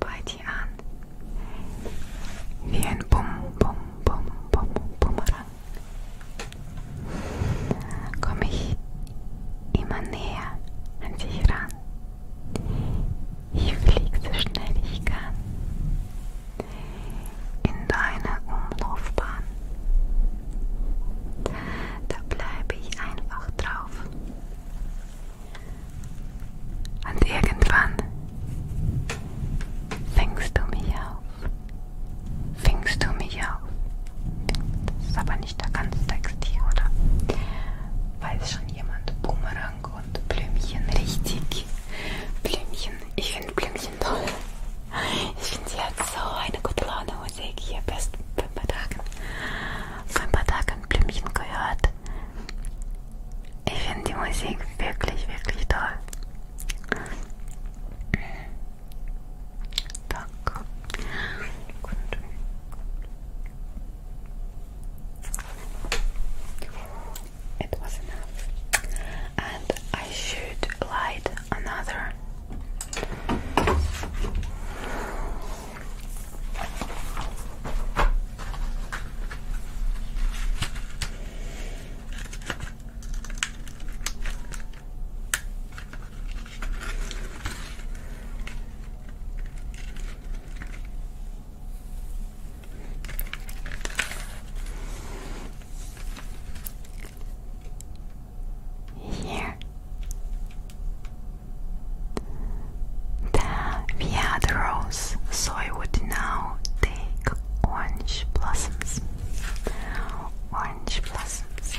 bei dir an. Wie ein Bum, Bum, Bum, Bum, Bumerang komme ich immer näher an dich ran. Ich fliege so schnell ich kann in deine Umlaufbahn. Da bleibe ich einfach drauf. Und irgendwann fängst du mich auf. Fingst du mich auf? Das ist aber nicht der ganze Text hier, oder? Weiß schon jemand Bumerang und Blümchen richtig? Blümchen, ich finde Blümchen toll. Ich finde, sie hat so eine gute Laune Musik hier. Best vor ein paar Tagen. Vor ein paar Tagen Blümchen gehört. Ich finde die Musik wirklich, wirklich toll. Так. It was enough. And I should light another. Here, the via the so I would now take orange blossoms, orange blossoms.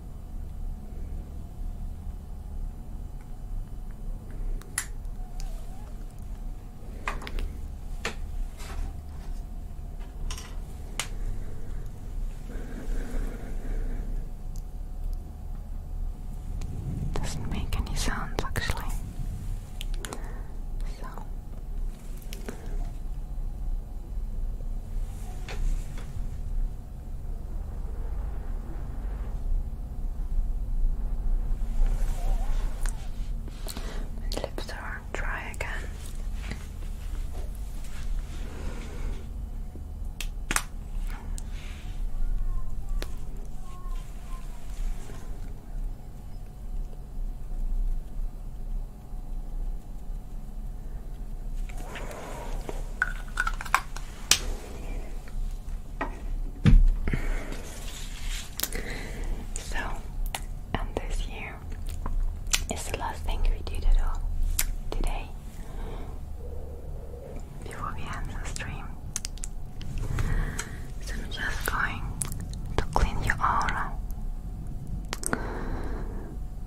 Doesn't make any sounds actually. So my lips are dry again. So, and this year the last thing we did at all today before we end the stream. So, I'm just going to clean your aura.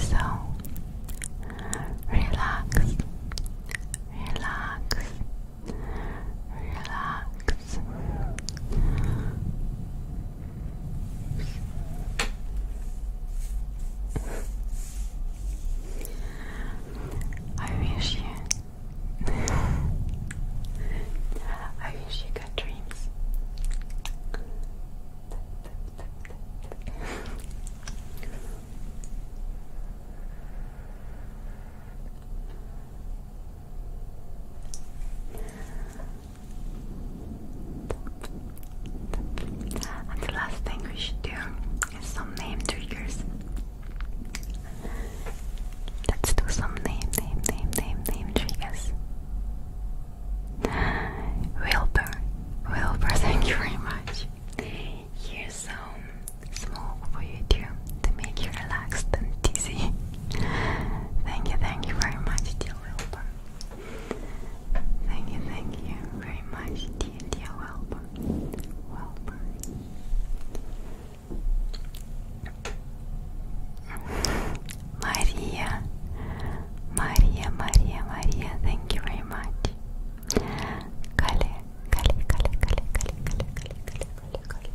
So relax, relax, relax. I wish you I wish you good dreams. And the last thing we should do is some name triggers. Let's do some name, name, name, name, name triggers. Wilbur, Wilbur, [LAUGHS] thank you very much. Here's some smoke for you too to make you relaxed and dizzy. [LAUGHS] thank you, thank you very much, dear Wilbur. Thank you, thank you very much, dear, dear Wilbur. Wilbur. [LAUGHS] Maria, Maria, Maria, Maria, thank you very much. Kale, Kale, Kale, Kale, Kale, Kale, Kale, Kale, Kale, Kale.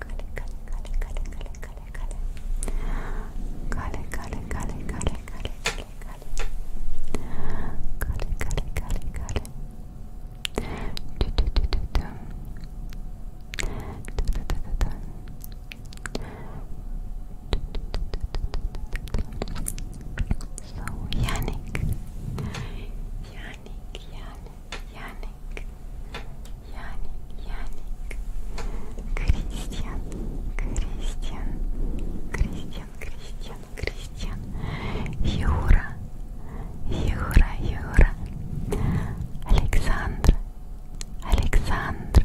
Kale, Kale, Kale, Kale, Kale, Kale, Kale. Kale, Kale, Kale, Kale, Kale, Kale, Kale. Kale, Kale, Kale, Kale. Do do do do do. Do do do do do. So Yannick, Yannick, Yannick, Yannick, Yannick, Yannick, Christian, Christian, Christian, Christian, Christian, Jura, Jura, Jura, Alexandra, Alexandra,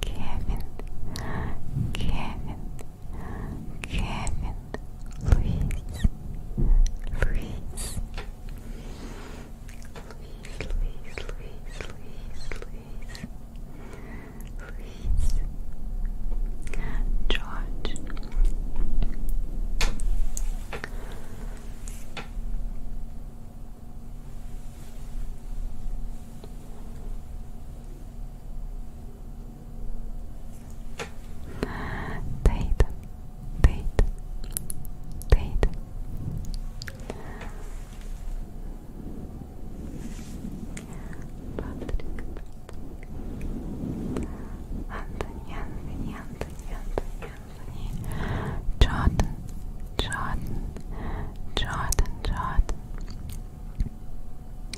Kevin, Kevin, Kevin, Luis, Luis, Luis, Luis, Luis, Luis, Luis, George Date, date, date. Patrick, Anthony, Anthony, Anthony, Anthony, Jordan, Jordan, Jordan, Jordan,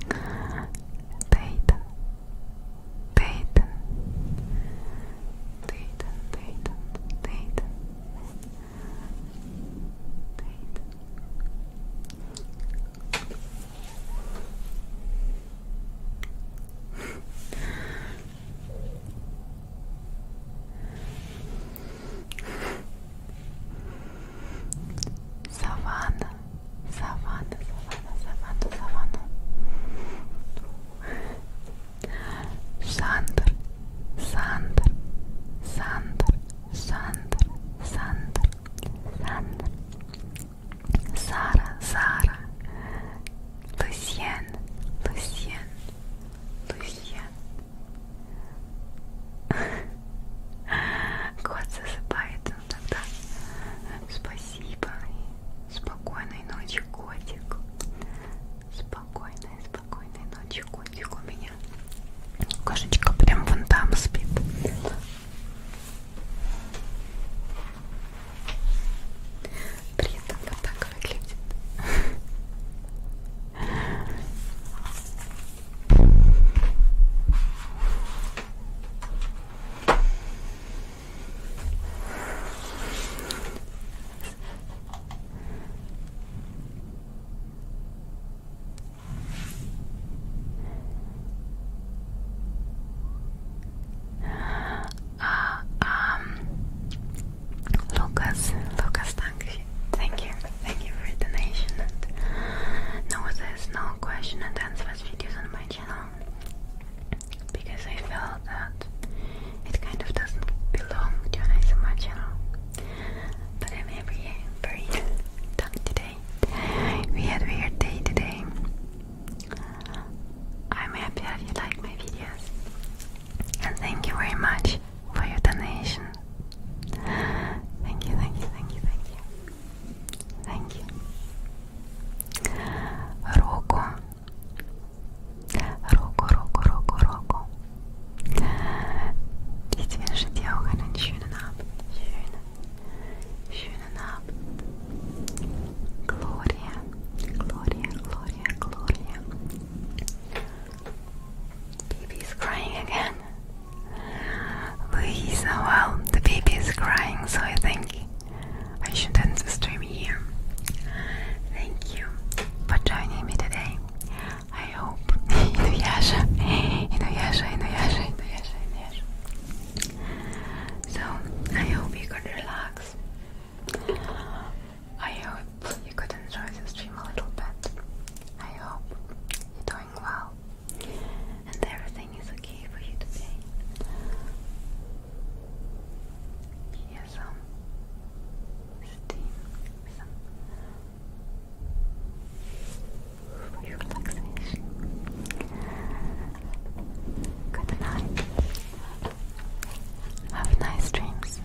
Dayton, Dayton, Dayton, Dayton, Dayton, Dayton. [LAUGHS] Savannah, savannah, savannah, savannah, savannah. Sandr, Sandr, Sandr, Sandr, Sandr, Sandr. Sara, Sara. Lucien, Lucien, Lucien, Кот [LAUGHS] засыпает, ну тогда спасибо. Спокойной ночи, котик. Спокойной, спокойной ночи, котик у меня. Кошечка прям вон там спит. Приятно вот так выглядит. [LAUGHS] Uh, um, Lucas, Lucas, danke thank you, thank you for your donation. And no, there's no question and answers videos on my channel because I felt that it kind of doesn't belong to an channel. But I'm every very done today. We had weird day today. I'm happy that you like my videos. And thank you very much for your donation. Thank you, thank you, thank you, thank you. Thank you. Rocco. Rocco, Rocco, Rocco, Rocco. Ich wünsche dir auch einen schönen Abend. Schönen, schönen Gloria, Gloria, Gloria, Gloria. Baby crying again. Louisa, oh, well, the baby is crying, so I think I should end the stream here. Thank you for joining me today. I hope Inuyasha, Inuyasha, Inuyasha, Inuyasha. So I hope you could relax. I hope you could enjoy the stream a little bit. I hope you're doing well and everything is okay for you today. Here's some steam, for your relaxation. Good night. Have nice dreams.